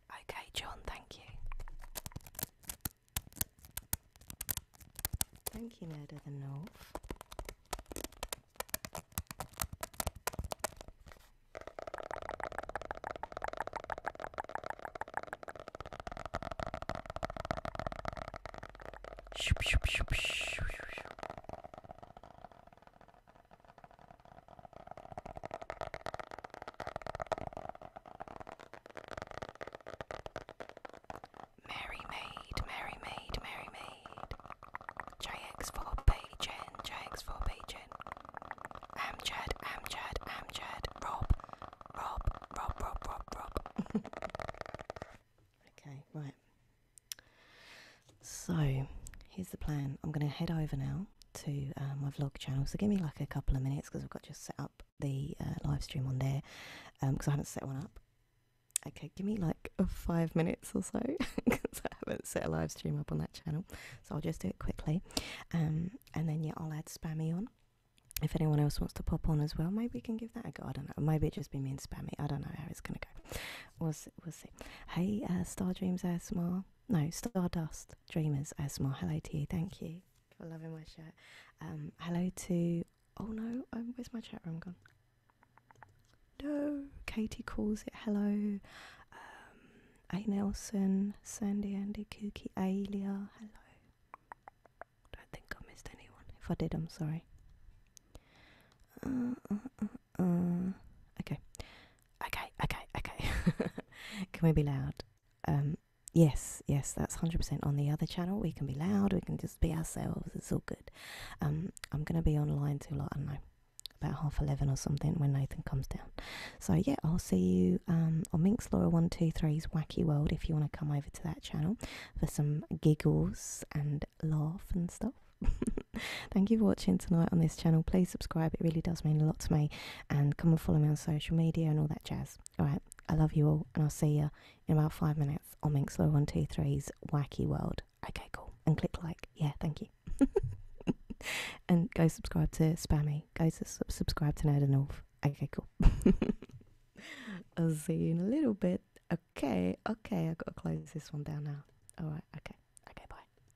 Okay, John, thank you. Thank you, Ned the North. Mary Maid, Mary Maid, Mary Maid. JX4 Pagen, JX4 Pagen. Amjad, Amjad, Amjad. Rob, Rob, Rob, Rob, Rob, Rob. okay, right. So, here's the plan. I'm going to head over now to um, my vlog channel. So give me like a couple of minutes because I've got to set up the uh, live stream on there because um, I haven't set one up. Okay, give me like five minutes or so because I haven't set a live stream up on that channel. So I'll just do it quickly. Um, and then, yeah, I'll add Spammy on. If anyone else wants to pop on as well, maybe we can give that a go. I don't know. Maybe it just be me and Spammy. I don't know how it's going to go. We'll see. We'll see. Hey, uh, Star Dreams ASMR no, Stardust Dreamers ASMR. Hello to you. Thank you for loving my shirt. Um, hello to. Oh no, um, where's my chat room gone? No, Katie calls it hello. Um, A Nelson, Sandy Andy, Kookie, Alia. Hello. Don't think I missed anyone. If I did, I'm sorry. Uh, uh, uh, uh, okay. Okay, okay, okay. can we be loud? Um, yes, yes, that's 100% on the other channel. We can be loud, we can just be ourselves, it's all good. Um, I'm going to be online till, I don't know, about half 11 or something when Nathan comes down. So, yeah, I'll see you um, on Minx Laura 123's Wacky World if you want to come over to that channel for some giggles and laugh and stuff. Thank you for watching tonight on this channel. Please subscribe, it really does mean a lot to me. And come and follow me on social media and all that jazz. Alright, I love you all, and I'll see you in about five minutes on Minxlaw123's Wacky World. Okay, cool. And click like. Yeah, thank you. and go subscribe to Spammy. Go to subscribe to Nerd North. Okay, cool. I'll see you in a little bit. Okay, okay, i got to close this one down now. All right, okay. okay, bye.